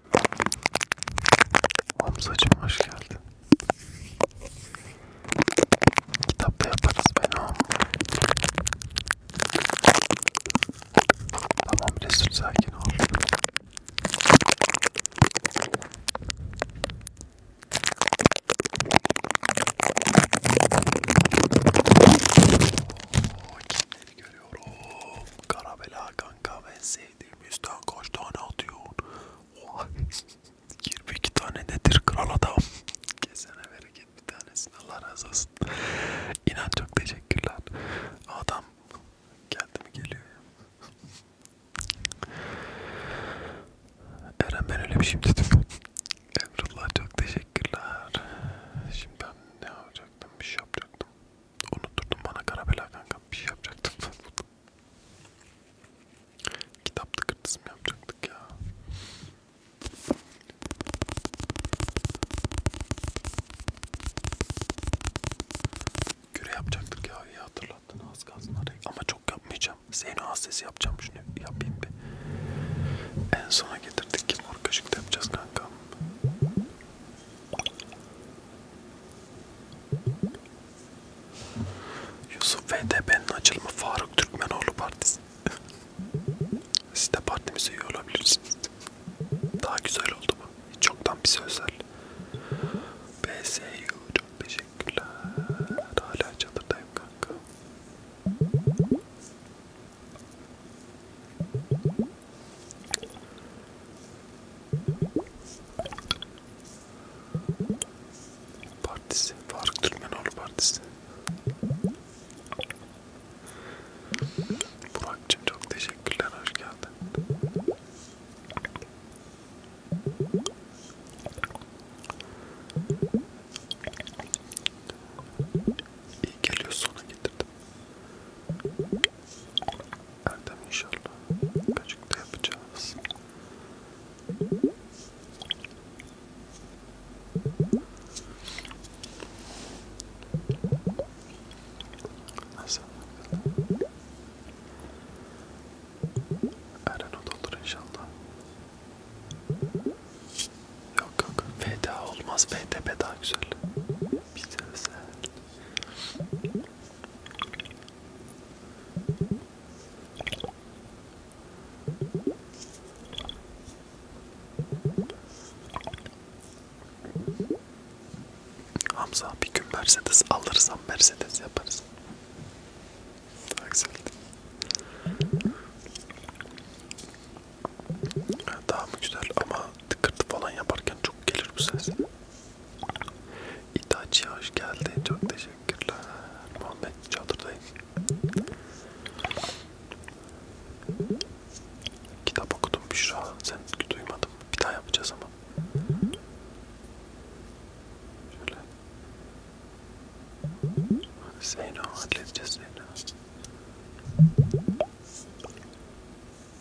Hamzacım hoş geldin. Kitapta yaparız beni ama. Tamam Resul sakin ol. Ooo kimleri görüyorum. Karabela kanka ve Z sevdiğim yüzden kaç tane atıyorsun? 22 tane nedir kral adam? Kesene bereket bir tanesini Allah razı olsun. İnan çok teşekkürler. Adam geldi mi geliyor ya. Eren ben öyle bir şey dedim. Emrullah çok teşekkürler. Şimdi ben ne yapacaktım? Bir şey yapacaktım. Unutturdun bana karabela kanka bir şey yapacaktım ben burada. Kitap tıkırtısı mı yapacaktık ya? Küre yapacaktık ya iyi hatırlattın az kalsın arayı. Ama çok yapmayacağım. Zeyno az sesi yapacağım şunu yapayım bir. En sona getirdik ki mor kaşık da yapacağız kanka. Yusuf VDP'nin açılımı Faruk Türkmenoğlu Partisi. Siz de partimize üye olabilirsiniz. Daha güzel oldu mu? Hiç çoktan bize özel. BSU çok teşekkürler. Hala çadırdayım kanka. Partisi. Faruk Türkmenoğlu Partisi. Burak'cığım çok teşekkürler. Hoş geldin. İyi geliyor sona getirdim. Erdem inşallah birlikte yapacağız. Nasıl? Eren o doldur inşallah. Yok yok. Feda olmaz. FTP daha güzel. Bize özel. Hamza bir gün Mercedes alırsam Mercedes yaparız. Daha güzeldi. Daha mı güzel ama tıkırtı falan yaparken çok gelir bu ses. İtaçi hoş geldi. Çok teşekkürler. Muhammed çadırdayım. Kitap okudum Büşra. Sen duymadım. Bir daha yapacağız ama. Şöyle. Zeyno halledeceğiz Zeyno.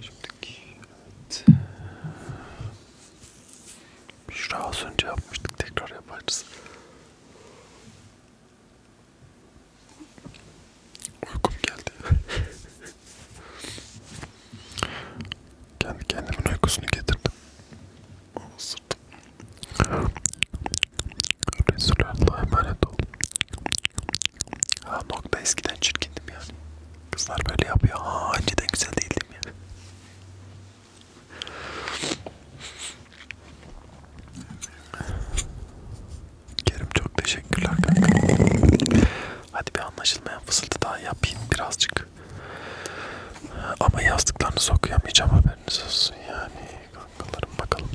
Şimdiki evet. Şura az önce yapmıştık tekrar yaparız. Uykum geldi. Kendi kendimin uykusunu getirdim. Sırtım. Resulallah'a emanet ol. Ha nokta eskiden çirkindim yani. Kızlar böyle yapıyor. Ha önceden güzel değildim yani. Kerim çok teşekkürler kanka. Hadi bir anlaşılmayan fısıltı daha yapayım birazcık. Ama yazdıklarını sokuyamayacağım haberiniz olsun yani kankalarım bakalım.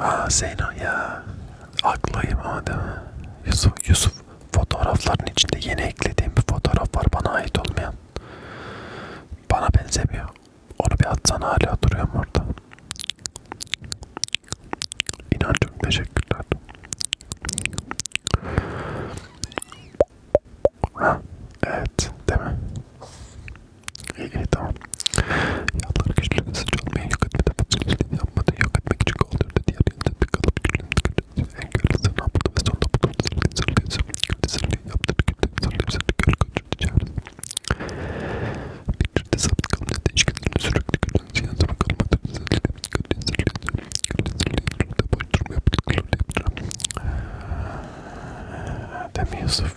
Ha Zeyno ya. Aklayım ama değil mi? Yusuf, Yusuf fotoğrafların içinde yeni eklediğim bir fotoğraf var bana ait olmayan. Bana benzemiyor. Onu bir atsana hala duruyorum orada. İnancım teşekkürler. Evet, değil mi? İyi, iyi tamam. Yağları güçlü ve sıcak olmayan yok etmede patolojiliğini yapmadı. Yok etmek için kaldırdı. Diğer yanında bir kalıp güçlüğünü kırdı. En görüntüsü ne yapıldı ve sonunda bu durumda sırrı sırrı sırrı sırrı sırrı yaptı. Tükürdü sırrı sırrı göl kaçırdı çevresi. Fikirde sabit kalın dedi. İşkilerini sürekli gören ziyan zaman kalmadı. Sırrı sırrı sırrı sırrı sırrı sırrı boş durma yaptıklarını yaptıran. Demi Yusuf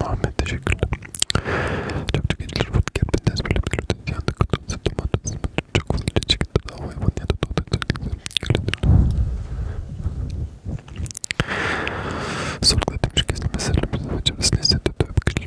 Muhammed teşekkürler. Çok çok iyidir. Kendiniz böyle bir lütfen yandı kutumsa domates çok fazla çıktı da havaya bana ya da domates öyledir. Sorguladım çünkü meselemiz ve çevresini hissetti. Tövbe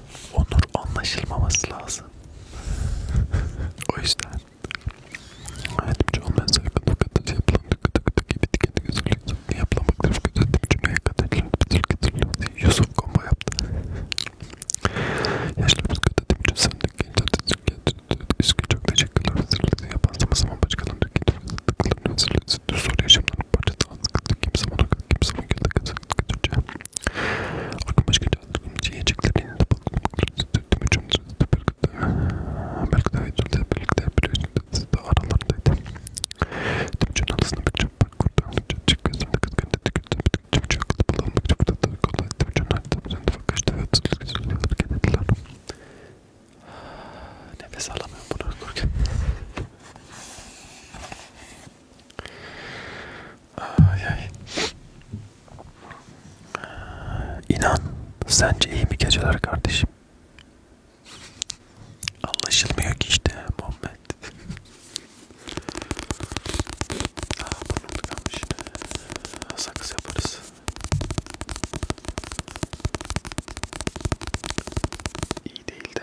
Onur anlaşılmaması lazım. o yüzden hayatımcı olmayan saygın fakat yapılan tıkı tıkı tıkı gibi tüketi gözlük yapılan bakdırıp gözetip cümleye kadarlar bitir getirler Yusuf kombo yaptı. Yaşlarımız kötü tüm sandık gençler Üskü çok teşekkürler hazırlıklı yapan zaman zaman başkalarının tüketilir tıklarını hazırlıklı soru yaşamlarının parçası az kimse bana kimse bana gözle kazanır Aklıma başka yiyeceklerini de baktım. Belki de ayrıldı, belki de biliyorsunuz da aralarındaydı. Tüm canın arasında bir çöp var kurdu. Çöpçük gözümde kızgındı, tükürdü. Çöpçük akıllı bulanmak çok da tabii kolay. Tüm canın arasında bir çöp var kaçtı ve atıldı. Güzel hareket ettiler. Nefes alamıyorum bunu okurken. Ay ay. İnan, sence iyi mi geceler kardeşim? Anlaşılmıyor ki işte Muhammed. Ah burnum tıkanmış. Sakız yaparız. İyi değil de.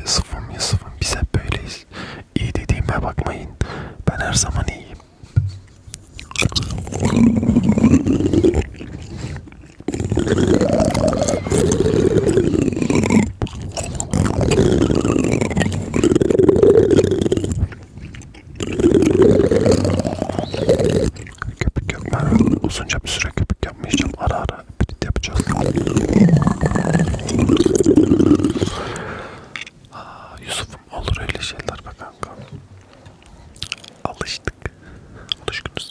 Yusuf'um Yusuf'um biz hep böyleyiz. İyi dediğime bakmayın. Ben her zaman iyiyim. Köpük yok ben uzunca bir süre köpük yapmayacağım ara ara prit yapacağız. Aa, Yusuf'um olur öyle şeyler be kanka. Alıştık. Alışkınız.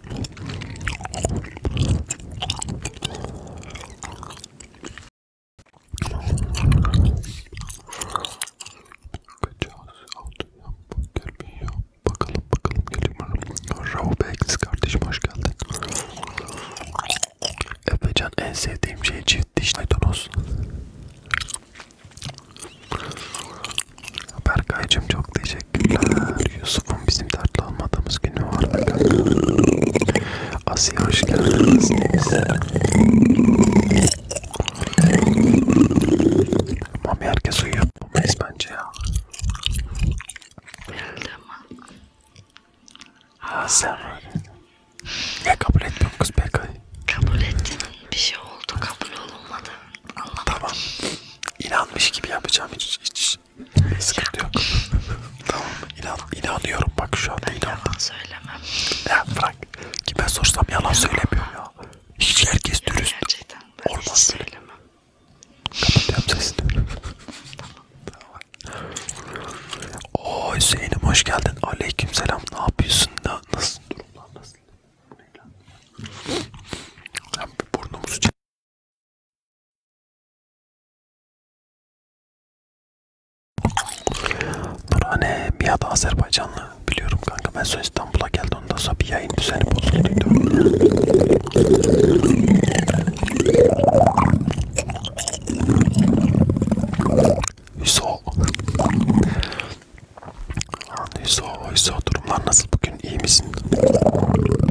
Kaçağız altı hamburger yiyor. Bakalım bakalım geliyorum. Robex kardeşim hoş geldin. Efecan en sevdiğim şey çift diş maydanoz. Berkay'cım çok teşekkürler. Yusuf bizim dertli olmadığımız günü var mı? Asiye hoş geldiniz. Mami herkes uyuyor. Mamayız bence ya. Ha sen var. Ya kabul etmiyorum kız PK'yı. Kabul ettin. Bir şey oldu. Kabul olunmadı. Anlamadım. Tamam. İnanmış gibi yapacağım. Hiç, hiç Sıkıntı yok. tamam. İnan, inanıyorum bak şu anda. Ben inanıyorum. yalan söylemem. Ya bırak. Kime sorsam yalan ya. söylemiyorum ya. Hiç herkes ya dürüst. Gerçekten ben Olmaz hiç söylemem. Kapatıyorum sesini. Oo Hüseyin'im hoş geldin. Aleyküm selam. Ne yapıyorsun? Na, nasıl durumlar nasıl? Bu ne lan? Ben burnumu sıçayım. Burhane bir adı Azerbaycanlı biliyorum kanka ben sonra İstanbul'a geldi ondan sonra bir yayın düzeni bozulduydu. Hüso. Hüso, Hüso durumlar nasıl bugün iyi misin?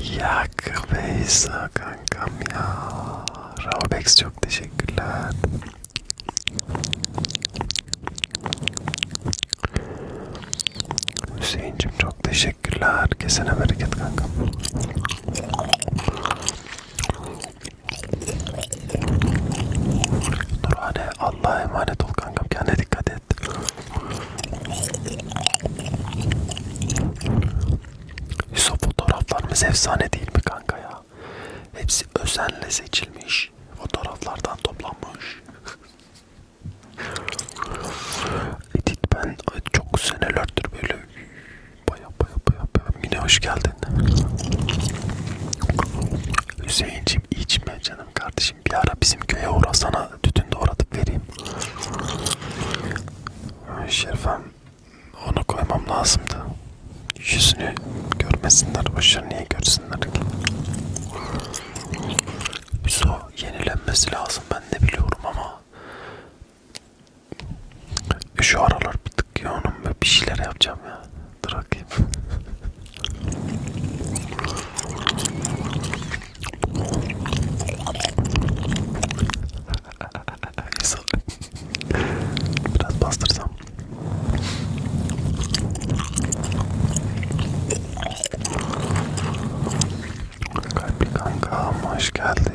Yak Beyza kankam ya. Rabex çok teşekkürler. Hüseyin'cim çok teşekkürler. Kesene bereket kankam. Nurhane Allah'a emanet ol kankam. Kendine dikkat et. Yusuf fotoğraflarımız efsane değil mi kanka ya? Hepsi özenle seçilmiş. Fotoğraflardan toplanmış. Edit ben çok senelerdir böyle baya baya baya baya. Mine hoş geldin. Hüseyinciğim içme canım kardeşim. Bir ara bizim köye uğrasana sana tütün doğratıp vereyim. Şerifem onu koymam lazımdı. Yüzünü görmesinler, başını niye görsünler ki? Bizo yenilenmesi lazım ben de biliyorum ama e şu aralar bir tık yoğunum ve bir şeyler yapacağım ya. Dur bakayım. Biraz bastırsam. Kalpli kanka hoş geldin.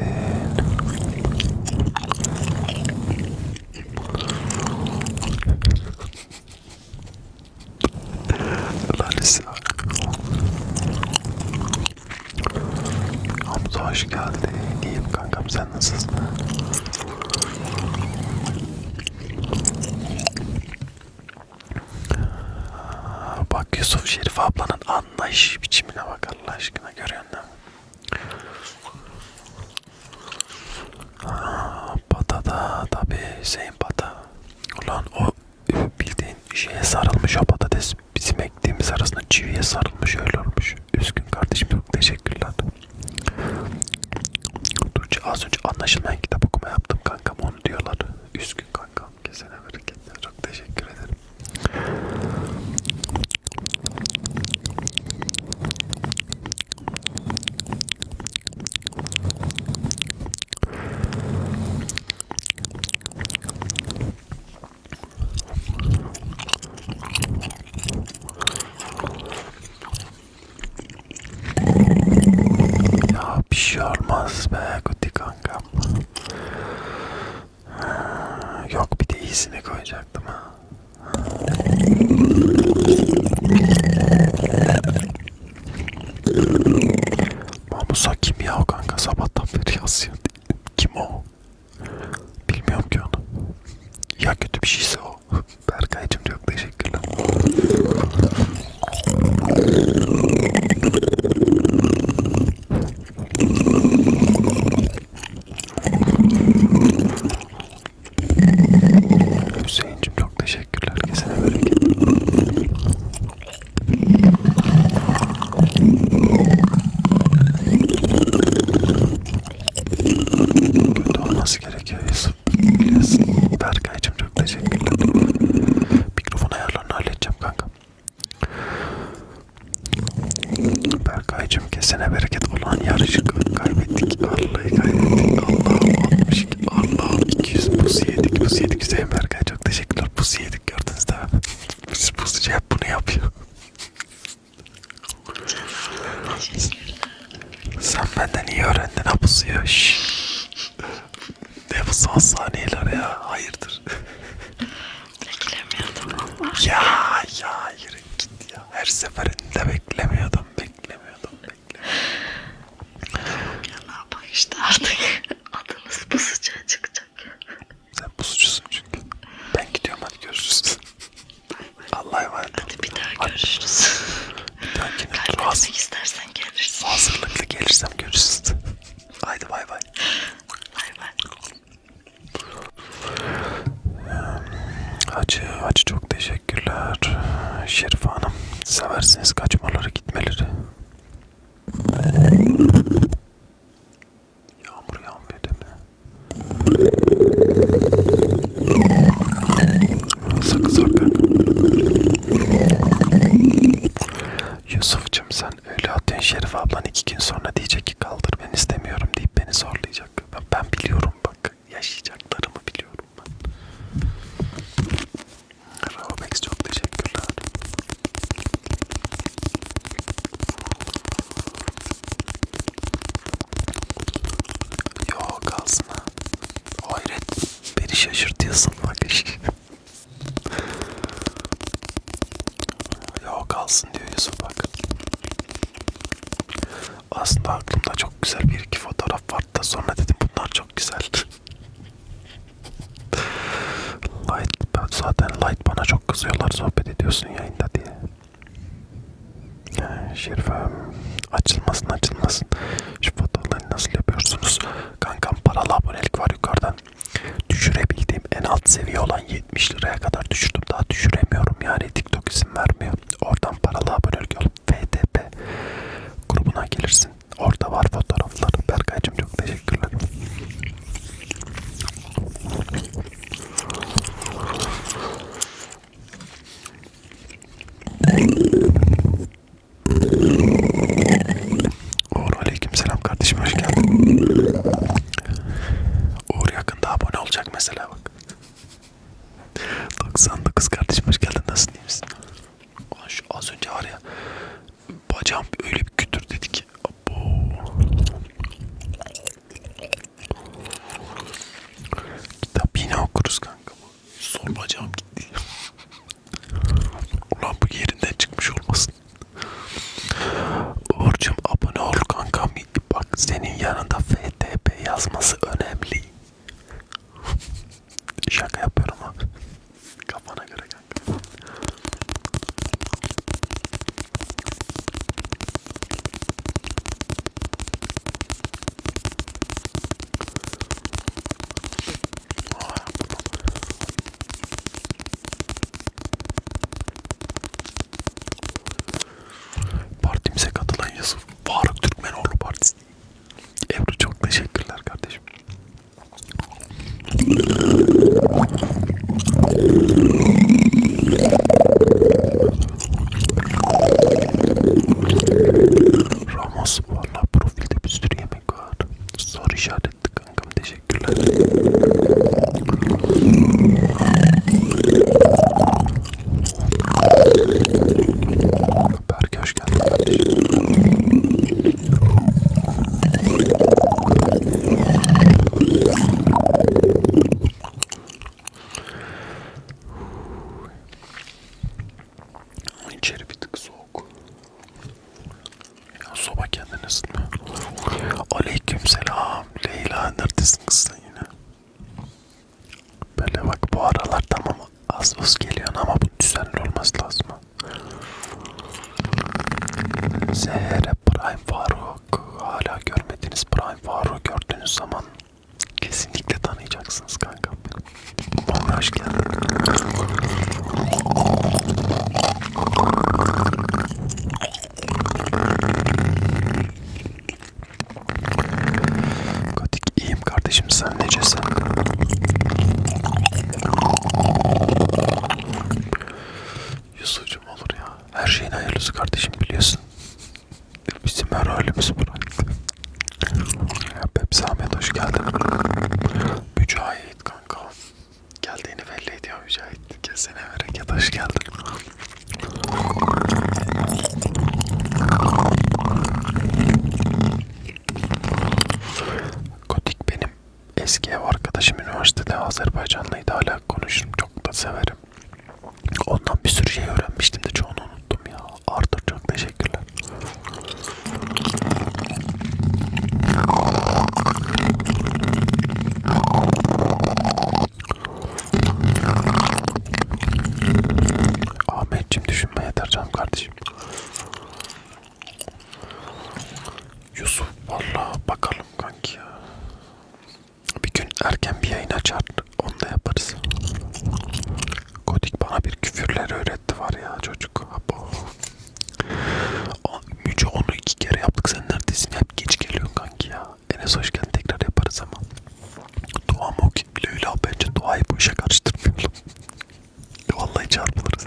Lalesi Hamza hoş geldi. İyiyim kankam sen nasılsın? Bak Yusuf Şerif ablanın anlayış biçimine bak Allah aşkına görüyor musun? Pata'da tabi Hüseyin Pata. Ulan o ee, bildiğin şeye sarılmış o patates bizim ektiğimiz arasında çiviye sarılmış öyle olmuş. Üzgün kardeşim çok teşekkürler. Tuğçe az önce anlaşılmayan kitap okuma yaptım kankam onu diyorlar. Üzgün kankam kesene bereketler çok teşekkür ederim. Ya bir şey olmaz be Guti kankam. Yok bir de iyisini koyacaktım ha. Mamusa kim ya o kanka sabahtan beri yazıyor kim o? Bilmiyorum ki onu. Ya kötü bir şeyse o. Berkay'cım çok teşekkürler. Hüseyin'cim çok teşekkürler. Kesene böyle Böyle olması gerekiyor Yusuf. Biliyorsun. Berkay'cım çok teşekkürler. Mikrofon ayarlarını halledeceğim kanka. Berkay'cım kesene bereket olan yarışı kaybettik. Arla'yı kaybettik. Allah'ım 62. Allah'ım 200 pusu yedik. Pusu yedik Hüseyin Berkay. Çok teşekkürler. Pusu yedik gördünüz değil mi? Biz pusucu hep bunu yapıyor. Sen benden iyi öğrendin ha pusuyu. Ne bu son saniyeler ya? Hayırdır? Beklemiyordum ama. Ya ya yürü git ya. Her seferinde beklemiyordum, beklemiyordum, beklemiyordum. ya ne yapayım işte artık adımız pusucuya çıkacak olacak. Sen pusucusun çünkü. Ben gidiyorum hadi görüşürüz. Allah'a emanet olun. Hadi bir daha hadi. görüşürüz. Kaybetmek istersen gelirsin. Hazırlıklı gelirsem görüşürüz. Haydi bay bay. Bay bay. Hacı, Hacı çok teşekkürler. Şerif Hanım, seversiniz kaçmaları gitmeleri. Yağmur yağmıyor değil mi? Sakız hakkı. Yusuf'cum sen öyle atıyorsun Şerif ablan iki gün sonra diyecek ki kaldır ben istemiyorum deyip beni zorlayacak. Ben, ben biliyorum bak yaşayacaklarımı biliyorum ben. Robex çok teşekkürler. Yok aslında. Hayret. Beni şaşırtıyorsun bak işte. Yok kalsın diyor Yusuf bak. Aslında aklımda çok güzel bir iki fotoğraf vardı da sonra dedim bunlar çok güzel. Light, zaten Light bana çok kızıyorlar sohbet ediyorsun yayında diye. Şerifem açılmasın açılmasın. Şu fotoğrafları nasıl yapıyorsunuz? Kankam paralı abonelik var yukarıdan. Düşürebildiğim en alt seviye olan 70 liraya kadar düşürdüm. Daha düşüremiyorum yani TikTok izin vermiyor. Oradan paralı abonelik olup FTP grubuna gelirsin. Orada var fotoğraflar. Berkay'cım çok teşekkür Teşekkürler. Uğur aleykümselam kardeşim hoş geldin. Uğur yakında abone olacak mesela bak. 99 kardeşim hoş geldin nasılsın iyi misin? Ulan şu az önce var ya Bacağım öyle bir kütür dedi ki. Abo. Kitap yine okuruz kanka. Sol bacağım gitti. Ulan bu yerinden çıkmış olmasın. Uğur'cum abone ol kankam. Bak senin yanında FTP yazması önemli. Şaka yapıyorum abi. Kafana göre kanka. Partimize katılan Yusuf Faruk Türkmenoğlu Partisi Ebru çok teşekkürler kardeşim Ramos valla profilde bir sürü yemek var. Soru işaretli kankam teşekkürler. Berke hoş geldin kardeşim. İçeri bir tık soğuk. Ya soba kendini ısıtma. Aleykümselam Leyla neredesin kız sen yine? Böyle bak bu aralar tamam az az geliyorsun ama bu düzenli olması lazım. Seher Prime Faruk hala görmediniz. Prime Faruk gördüğünüz zaman kesinlikle tanıyacaksınız kanka. Bana hoş geldin. Kotik iyiyim kardeşim sen necesin? Yusuf'cum olur ya. Her şeyin hayırlısı kardeşim biliyorsun. Bizim her halimiz bıraktı. Pepsi Ahmet hoş geldin. Mücahit kanka. Geldiğini belli ediyor Mücahit. Kesene bereket hoş geldin. Kotik benim eski ev arkadaşım üniversitede Azerbaycanlıydı hala konuşurum çok da severim. Ondan bir sürü şey öğrenmiştim de çoğunu unuttum ya. Arthur çok teşekkürler. Ahmetciğim düşünme yeter canım kardeşim. Yusuf valla bakalım kanki ya. Bir gün erken bir yayın açar, onu da yaparız. Godik bana bir küfürler öğretti var ya çocuk. Abo. Müce onu iki kere yaptık sen neredesin? Hep geç geliyorsun kanki ya. Enes hoşken tekrar yaparız ama. Dua mı Leyla bence duayı bu işe karıştırmayalım. Vallahi çarpılırız.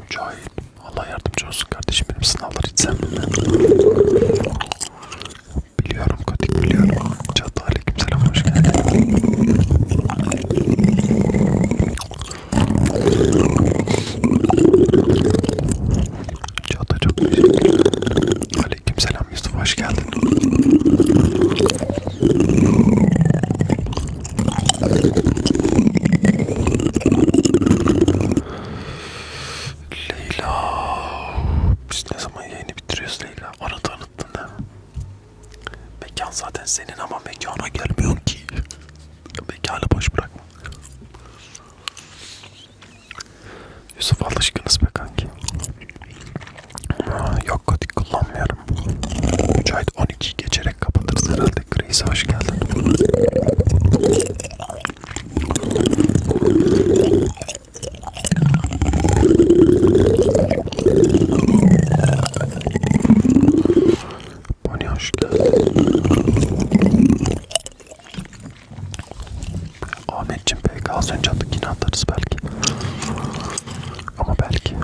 Mücahit. Allah yardımcı olsun kardeşim benim sınavlar hiç sen Biliyorum Katik biliyorum. Çatı aleykümselam hoş geldin. Çağatay çok teşekkür ederim. Aleykümselam Yusuf hoş geldin. Leyla biz ne zaman yayını bitiriyoruz Leyla? Onu tanıttın değil mi? Mekan zaten senin ama mekana gelmiyorsun ki. Mekanı boş bırakma. Yusuf alışkınız be kanki. Aa, yok kodik kullanmıyorum. Mücahit 12 geçerek kapatırız herhalde. Grace'e hoş geldin. Bonnie hoş geldin. Ahmetciğim belki az önce attık yine atarız belki. Ama belki.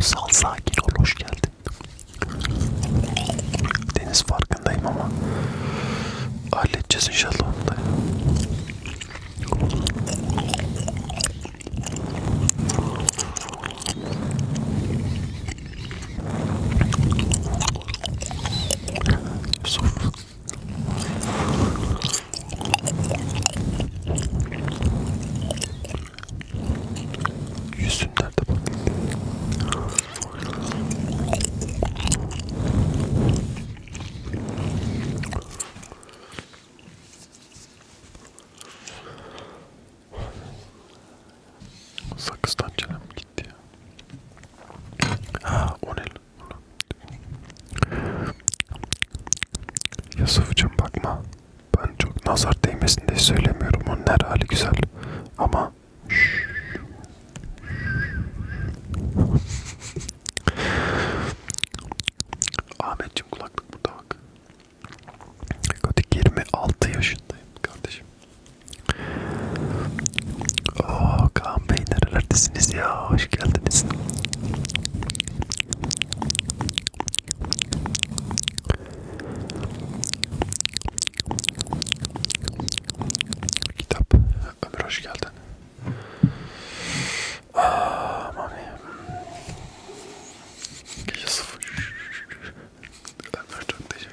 Sal sakin ol hoş geldin. Deniz farkındayım ama halledeceğiz inşallah onu da. Yusuf. Yüzün nerede bak? Sakızdan canım gitti ya. Ha o ne Yusuf'cum bakma. Ben çok nazar değmesin diye söylemiyorum. Onun her hali güzel. Ama Ahmetciğim kulaklık burada bak. Kodik 26 yaşındayım kardeşim. Oo Kaan Bey nerelerdesiniz ya? Hoş geldiniz. Kitap. Ömür hoş geldin. Aa, ah, mami. Gece sıfır. Ömür çok teşekkür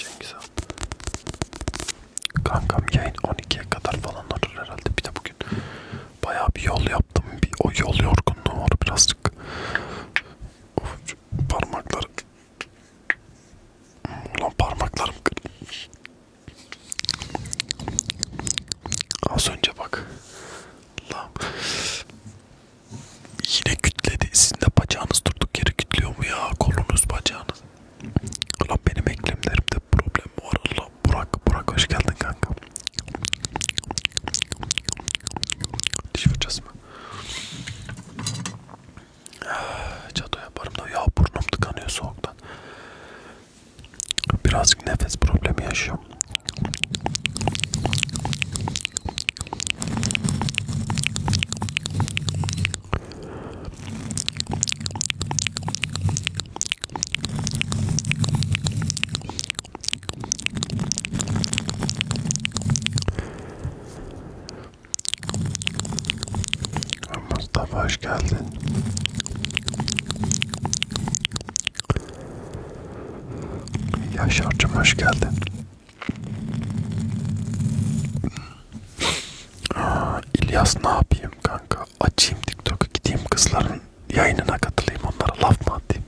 Cengiz abi. Kankam yayın 12'ye kadar falan olur herhalde. Bir de bugün bayağı bir yol yaptım. Bir, o yol yorgunluğu var birazcık. Of, parmaklarım. Ulan parmaklarım Az önce bak. Lan. Yine kütledi. Sizin de bacağınız durduk yere kütlüyor mu ya? Kolunuz, bacağınız. Ulan benim eklemlerimde problem var. Allah Burak, Burak hoş geldin kanka. Diş fırçası mı? Çato ah, yaparım da ya burnum tıkanıyor soğuktan. Birazcık nefes problemi yaşıyorum. Mustafa hoş geldin. Yaşar'cım hoş geldin. İlyas ne yapayım kanka? Açayım TikTok'u gideyim kızların yayınına katılayım onlara laf mı atayım?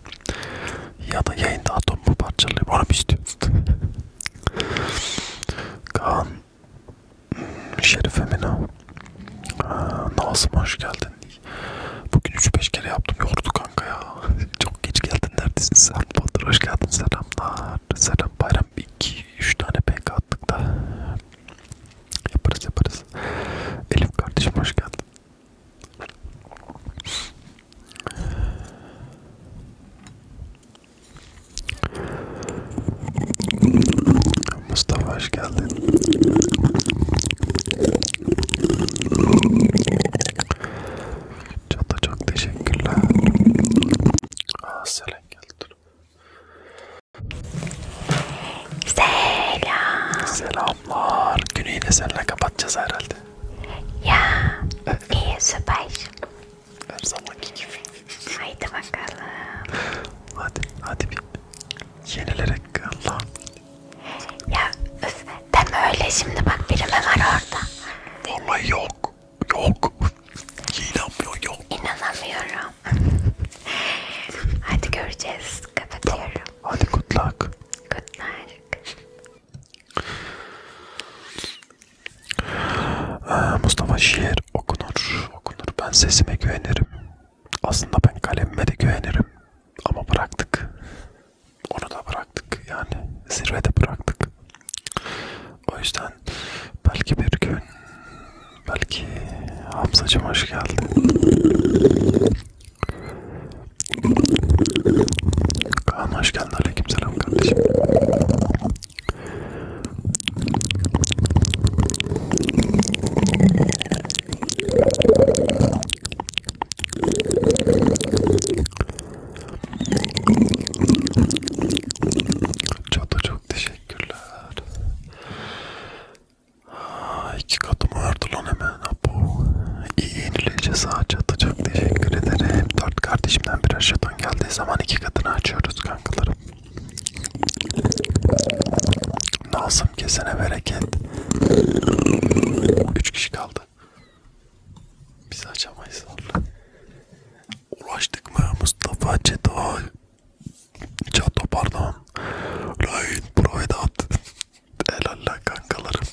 Ya da yayında atom mu parçalayayım onu mu istiyorsun? Kaan hmm, Şerif Emine Nazım hoş geldin. Bugün 3-5 kere yaptım yordu kanka ya. Çok geç geldin neredesin sen? Bahadır hoş geldin selamlar. Selam bayram 2-3 tane pk attık da. Yaparız yaparız. Elif kardeşim hoş geldin. Mustafa hoş geldin. Çok da çok teşekkürler. Selam geldi. Selam. Selamlar. Günü de seninle kapatacağız herhalde. Ya. Evet. İyi süper. Her zamanki gibi. Haydi bakalım. Hadi hadi bir yenilere kal. Ya öf. Deme öyle şimdi bak birime var orada. Vallahi yok. Yok. İnanmıyorum yok. İnanamıyorum. Hadi göreceğiz. Kapatıyorum. Tamam. Hadi good luck. Good luck. Ee, Mustafa şiir okunur. Okunur. Ben sesime güvenirim. Aslında ben kalemime de güvenirim. Ama bıraktık onu da bıraktık yani zirvede bıraktık. O yüzden belki bir gün belki Hamzacım hoş geldin. Kaan hoş geldin. Aleykümselam kardeşim. Çata çok teşekkürler. Aa, iki katım vardı lan hemen. Apo. İyi yenileyeceğiz ha Çata çok teşekkür ederim. Dört kardeşimden bir aşağıdan geldiği zaman iki katını açıyoruz kankalarım. Nazım kesene bereket. Üç kişi kaldı. Biz açamayız vallahi. Ulaştık mı Mustafa Çetol? Çato pardon. Rain Provedat. Helalla kankalarım.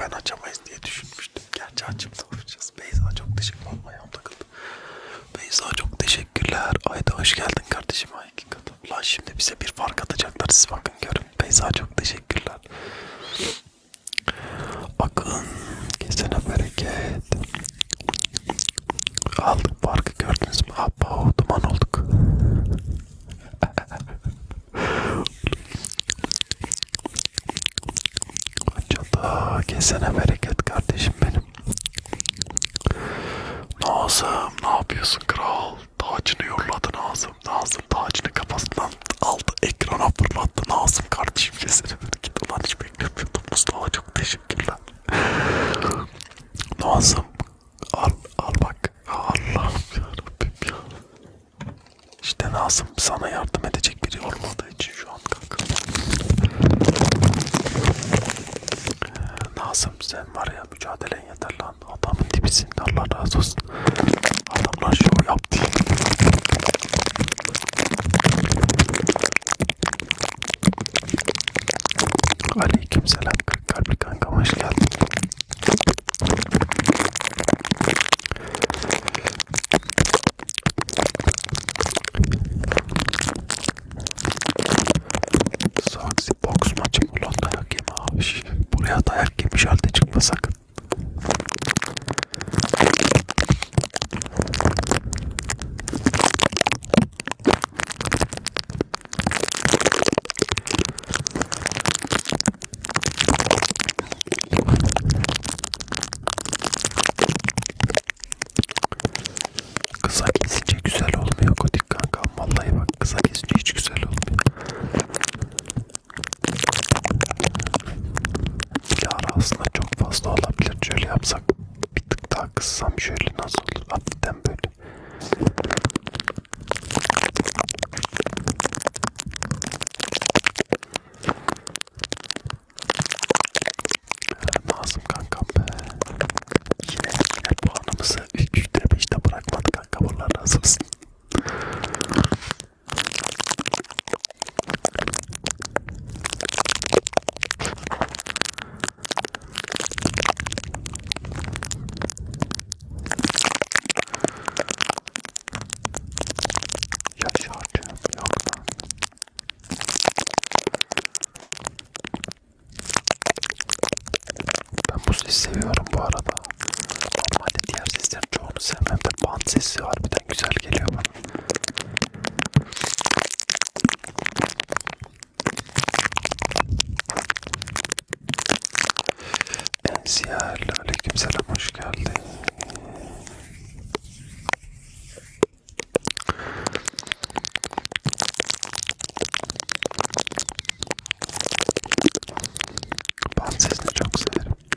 Ben açamayız diye düşünmüştüm. Gerçi açıp da yapacağız. Beyza çok teşekkür olmayam takıldı. Beyza çok teşekkürler. Ayda hoş geldin kardeşim. Ay hakikaten. Ulan şimdi bize bir fark atacaklar. Siz bakın görün. Beyza çok teşekkürler. Akın kesene bereket. Aldık farkı gördünüz mü? Abba duman olduk. Çata kesene bereket kardeşim benim. Nazım ne yapıyorsun kral? Tacını yolladın Nazım. Nazım tacını kafasından aldı ekrana fırlattı Nazım kardeşim kesene git ulan hiç beklemiyordum Mustafa çok teşekkürler Nazım al, al bak Allah'ım yarabbim ya İşte Nazım sana yardım edecek biri olmadığı için şu an kanka ee, Nazım sen var ya mücadelen yeter lan adamın dibisin Allah razı olsun Adamlar şov yaptı. Aleyküm selam. Kırk kalpli kankam hoş geldin. Saksi boks maçı ulan dayak yeme abi. Buraya dayak yemiş halde çıkma sakın. Kısa kesince güzel olmuyor Kodik kanka. Vallahi bak kısa kesince hiç güzel olmuyor. Yağar aslında çok fazla olabilir. Şöyle yapsak bir tık daha kıssam şöyle nasıl olur? Hafiften böyle. Nazım kankam be. Yine, yine puanımızı 3'te 5'te bırakmadı kanka. Bunlar razı olsun. Ya şarjım yok lan. Ben bu sesi seviyorum bu arada. Normalde diğer sesler çok onu sevmem de band sesi harbiden güzel geliyor bana. Enziyarlı aleykümselam hoş geldin. Band sesini çok severim. Evet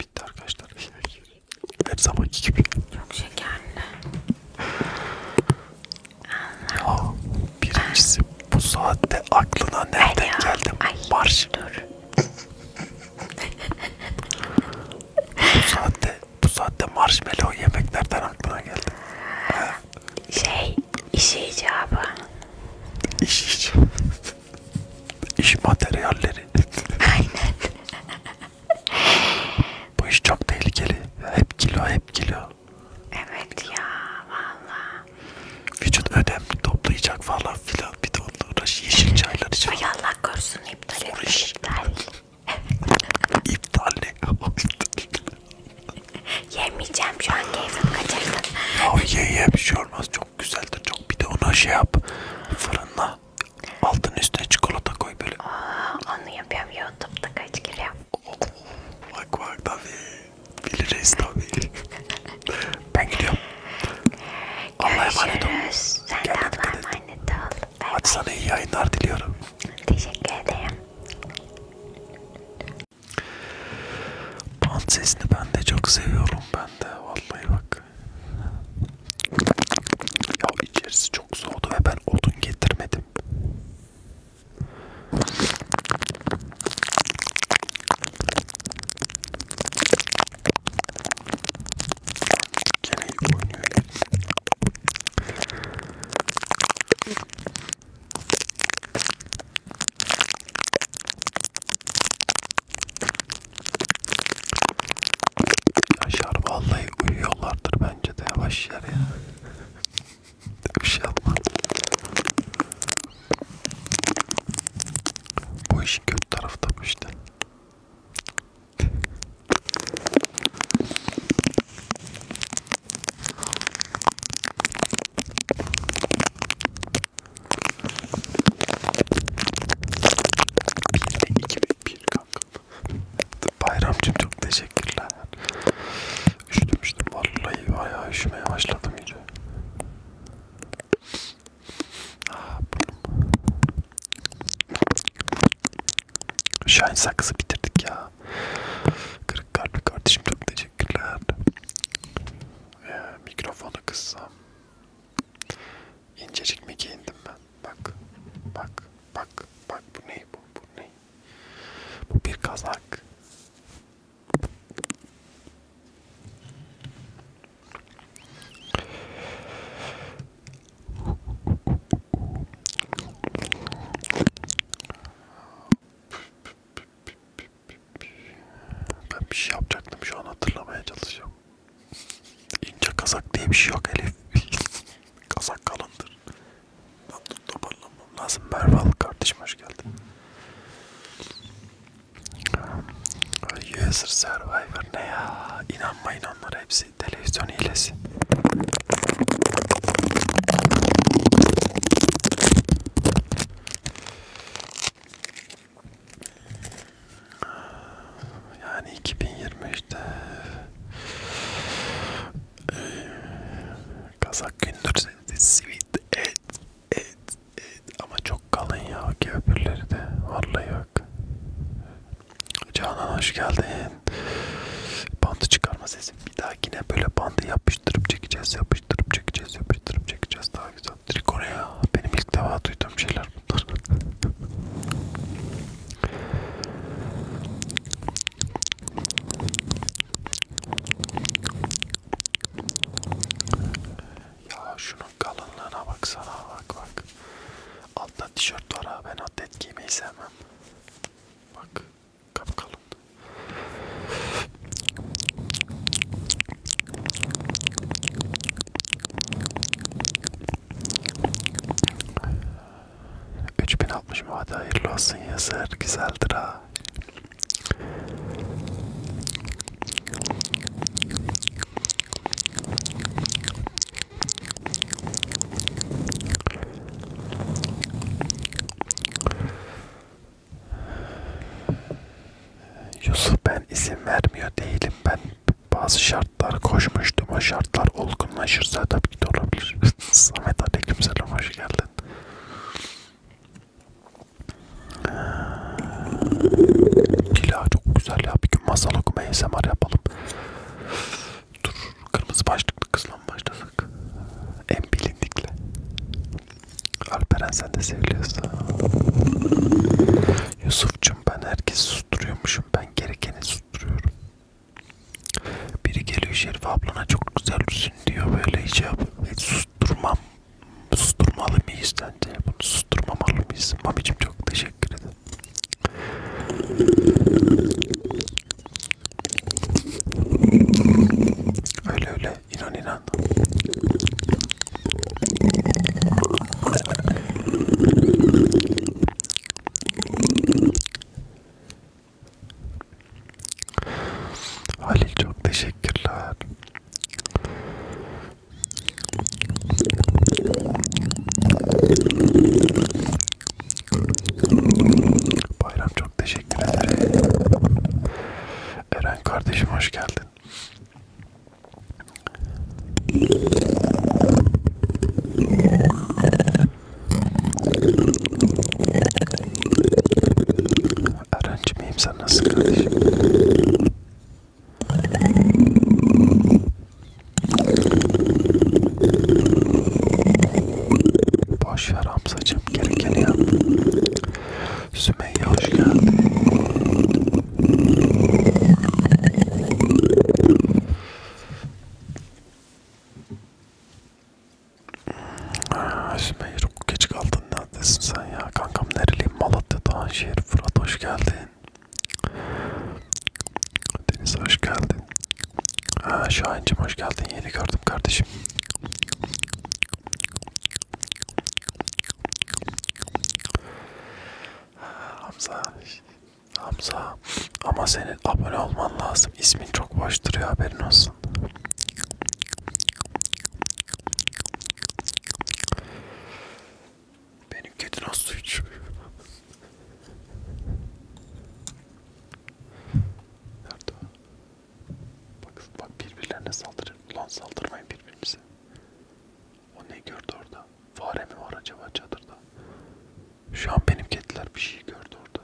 bitti arkadaşlar. Her zamanki gibi. Çok şekerli. Ya, birincisi bu saatte aklına nereden geldi? Marş. Dur bu saatte, bu saatte marshmallow yemeklerden aklına geldi. Şey, iş icabı. İş icabı. İş materyalleri. Aynen. Bu iş çok tehlikeli. Hep kilo, hep kilo. Evet ya, valla. Vücut ödem toplayacak falan filan bir de onunla uğraş yeşil çaylar için. Ay Allah korusun iptal etmiş iptal. iptal ne? Yemeyeceğim şu an keyfim kaçırdın. Ya ye ye bir şey olmaz çok güzeldir çok bir de ona şey yap fırınla altın üstüne çikolata koy böyle. Aa, onu yapıyorum YouTube'da kaç kere yap. Oh, bak bak tabii biliriz tabii. Ben gidiyorum. Allah'a emanet ol. Sen de Allah'a emanet ol. Bay Hadi bay. sana iyi yayınlar diliyorum. Teşekkür ederim. Bant sesini ben de çok seviyorum ben de vallahi bak. Ya içerisi çok soğudu ve ben odun getirmedim. Gene iyi oynuyor. Yaşar vallahi uyuyorlardır bence de yavaş yer ya. Bir şey yapma. Bu işin kötü tarafı da bu işte. bir iki bir, bir kanka. Bayramcım çok teşekkürler. Üşüdüm üşüdüm vallahi bayağı üşümeye başladım iyice. Ah, Şahin sakızı bitirdik ya. Kırık kalpli kardeşim çok teşekkürler. Ee, mikrofonu kıssam. İncecik mi giyindim ben? Bak, bak, bak, bak bu ne bu, bu ne? Bu bir kazak. Ben bir şey yapacaktım şu an hatırlamaya çalışıyorum. İnce kazak diye bir şey yok Elif. kazak kalındır. Ben toparlanmam lazım. Merve kardeşim hoş geldin. User Survivor ne ya? İnanmayın onlara hepsi televizyon hilesi. Yani 2023'te Kazak Gündür Sweet Ed Evet, evet ama çok kalın ya köprüleri de vallahi yok. Canan hoş geldin. Bandı çıkarma sesi. Bir dahakine böyle bandı yapıştırıp çekeceğiz, yapıştırıp çekeceğiz, yapıştırıp çekeceğiz daha güzel. Trikone ya. Benim ilk defa duyduğum şeyler bunlar. Ya şunun kalınlığına baksana bak bak. Altta tişört var ha ben atlet giymeyi sevmem. Bak kapkalın. Üç bin altmış mı hadi hayırlı olsun yazar güzeldir ha. Yusuf ben izin vermiyor değilim ben bazı şartlar koşmuştum o şartlar olgunlaşırsa tabii ki de olabilir Samet aleykümselam hoş geldin ee, Kila çok güzel ya. Bir gün masal okuma ASMR yapalım. Dur kırmızı başlıklı kızla mı başlasak? En bilindikle. Alperen sen de seviyorsun. Yusuf'cum ben herkesi susturuyormuşum. Ben gerekeni susturuyorum. Biri geliyor Şerif ablana çok güzel üstün diyor böyle hiç şey yap. Hiç susturmam susturmalı mıyız sence? Bunu susturmamalı mıyız? Mamicim çok teşekkür ederim. Öyle öyle inan inan. Halil çok teşekkürler. Bayram çok teşekkür ederim. Eren kardeşim hoş geldin. Eren'cim iyiyim sen nasılsın kardeşim? Boş ver Hamzacığım gerekeni yap. Sümeyye hoş geldin. Ah, Sümeyye çok geç kaldın neredesin sen ya? Kankam nereliyim? Malatya Doğanşehir Fırat hoş geldin geldin. Deniz hoş geldin. Ha, Şahincim hoş geldin. Yeni gördüm kardeşim. Hamza, Hamza ama senin abone olman lazım. İsmin çok boş duruyor haberin olsun. Benim kedi nasıl içiyor? Nerede o? Bak, bak birbirlerine saldırın. Ulan saldırmayın birbirimize. O ne gördü orada? Fare mi var acaba çadırda? Şu an benim kediler bir şey gördü orada.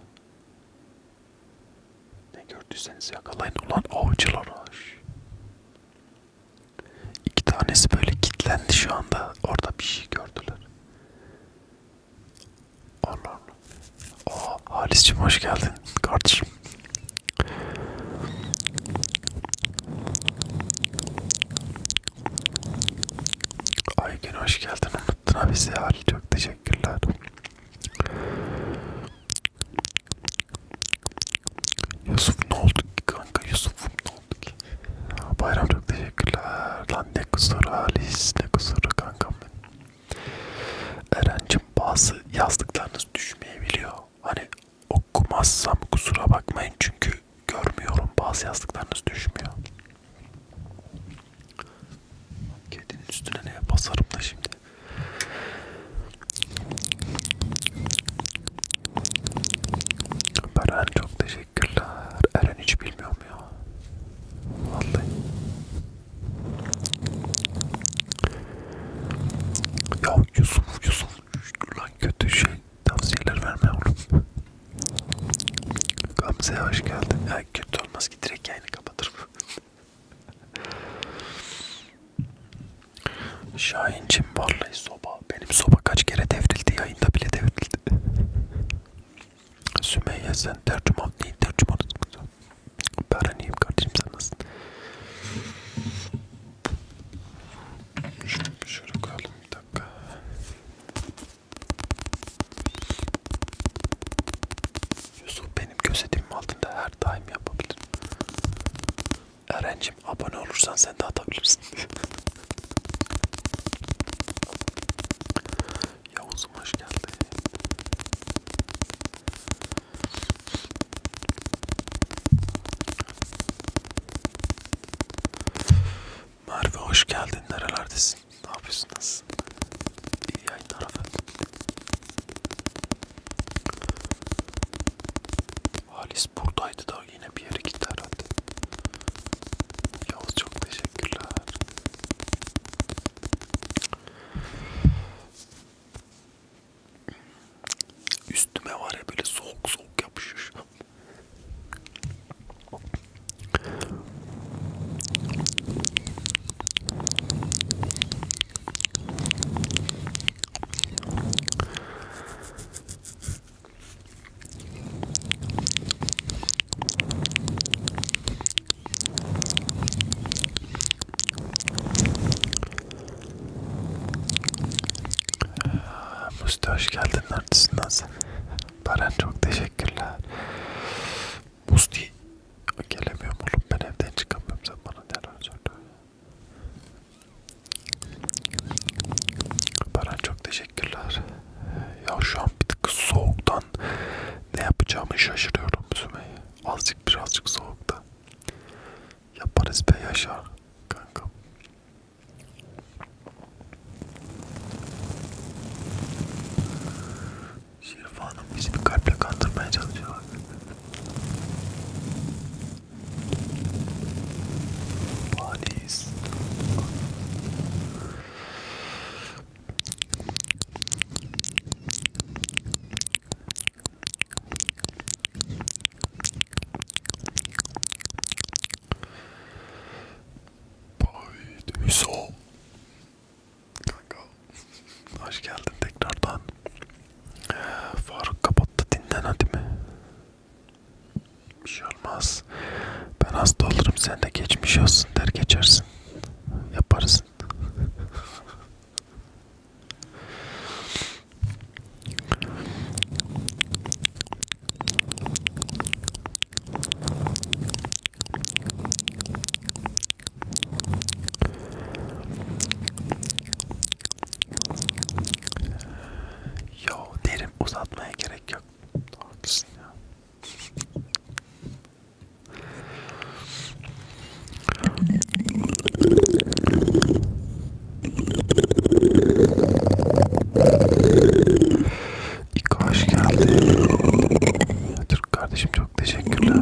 Ne gördüyseniz yakalayın ulan avcılar aş. İki tanesi böyle kilitlendi şu anda. Orada bir şey gördüler. Allah Allah. Oh, Halis'cim hoş geldin kardeşim. Aygün hoş geldin. Unuttun ha bizi Halil. Çok teşekkürler. Yusuf ne oldu kanka Yusuf ne oldu ki? Bayram çok teşekkürler. Lan ne kusuru Halis, ne kusuru kankam benim. Eren'cim bazı yazdıklarınız düşmeyebiliyor. Hani okumazsam kusura bakmayın çünkü görmüyorum bazı yazdıklarınız düşmüyor. Kedinin üstüne ne basarım da şimdi. Beren çok teşekkürler. Eren hiç bilmiyorum ya. Vallahi. Ya Yusuf, Yusuf lan kötü şey tavsiyeler verme oğlum. Gamze'ye hoş geldin. Ya kötü olmaz ki direkt yayını kapatırım. Şahincim vallahi soba. Benim soba kaç kere devrildi yayında bile devrildi. Sümeyye sen tercüman değil tercümanız mı? Ben iyiyim kardeşim sen nasılsın? Şöyle, şöyle koyalım bir dakika. Yusuf benim gözetimim altında her daim yapabilir. Erencim abone olursan sen de atabilirsin. Yavuz'um hoş geldin. Merve hoş geldin. Nerelerdesin? Ne yapıyorsun? Nasılsın? İyi yayınlar efendim. Halis buradaydı da yine bir yere gitti herhalde. Yavuz çok teşekkürler. Üstüme var ya böyle soğuk soğuk yapışıyor şu an. Musti hoş geldin neredesin nasıl? Baran çok teşekkürler. Musti gelemiyorum oğlum ben evden çıkamıyorum sen bana neler söylüyorsun? Baran çok teşekkürler. Ya şu an bir tık soğuktan ne yapacağımı şaşırıyorum Sümeyye. Azıcık birazcık soğukta. Yaparız be Yaşar kanka. Şirif Hanım bizi bir kalple kandırmaya çalışıyor. Paris. Paris. Kanka. Hoş geldin tekrardan. Faruk kapattı dinlen hadi mi? Bir şey olmaz. Ben hasta olurum sen de geçmiş olsun der geçersin. Yaparsın. Yo derim uzatmaya gerek gerek yok. Haklısın ya. İlk hoş geldi. Türk kardeşim çok teşekkürler.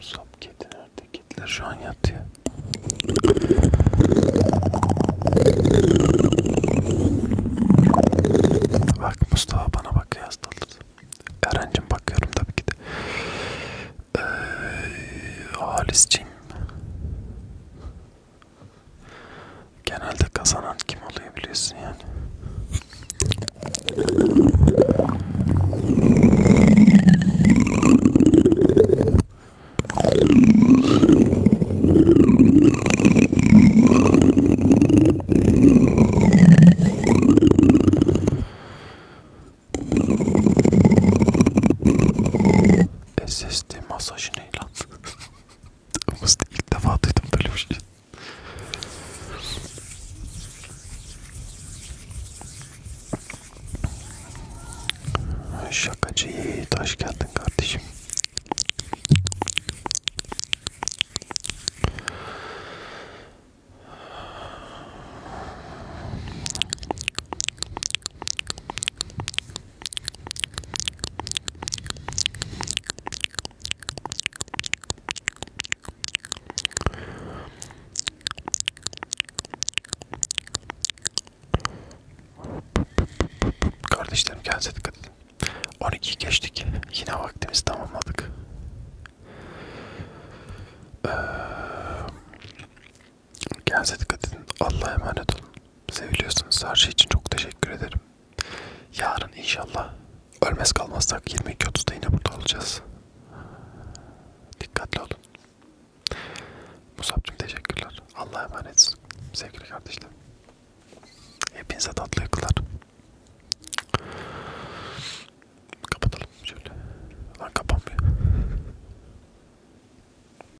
Sap kedi nerede? Kediler şu an yatıyor. Bak Mustafa bana bakıyor hastalığı. Erencim bakıyorum tabii ki de. Ee, Halisciğim. Genelde kazanan kim oluyor biliyorsun yani. SSD masajı ne lan? ilk defa duydum böyle bir şey. Şakacı Yiğit hoş geldin kardeşim. Kardeşlerim kendinize dikkat edin. 12 geçtik. Yine vaktimizi tamamladık. Ee, Kendinize dikkat edin. Allah'a emanet olun. Seviliyorsunuz. Her şey için çok teşekkür ederim. Yarın inşallah ölmez kalmazsak 22.30'da yine burada olacağız. Dikkatli olun. Musab'cığım teşekkürler. Allah'a emanetsin. Sevgili kardeşlerim. Hepinize tatlı yakılar. Kapatalım şöyle. Lan kapanmıyor.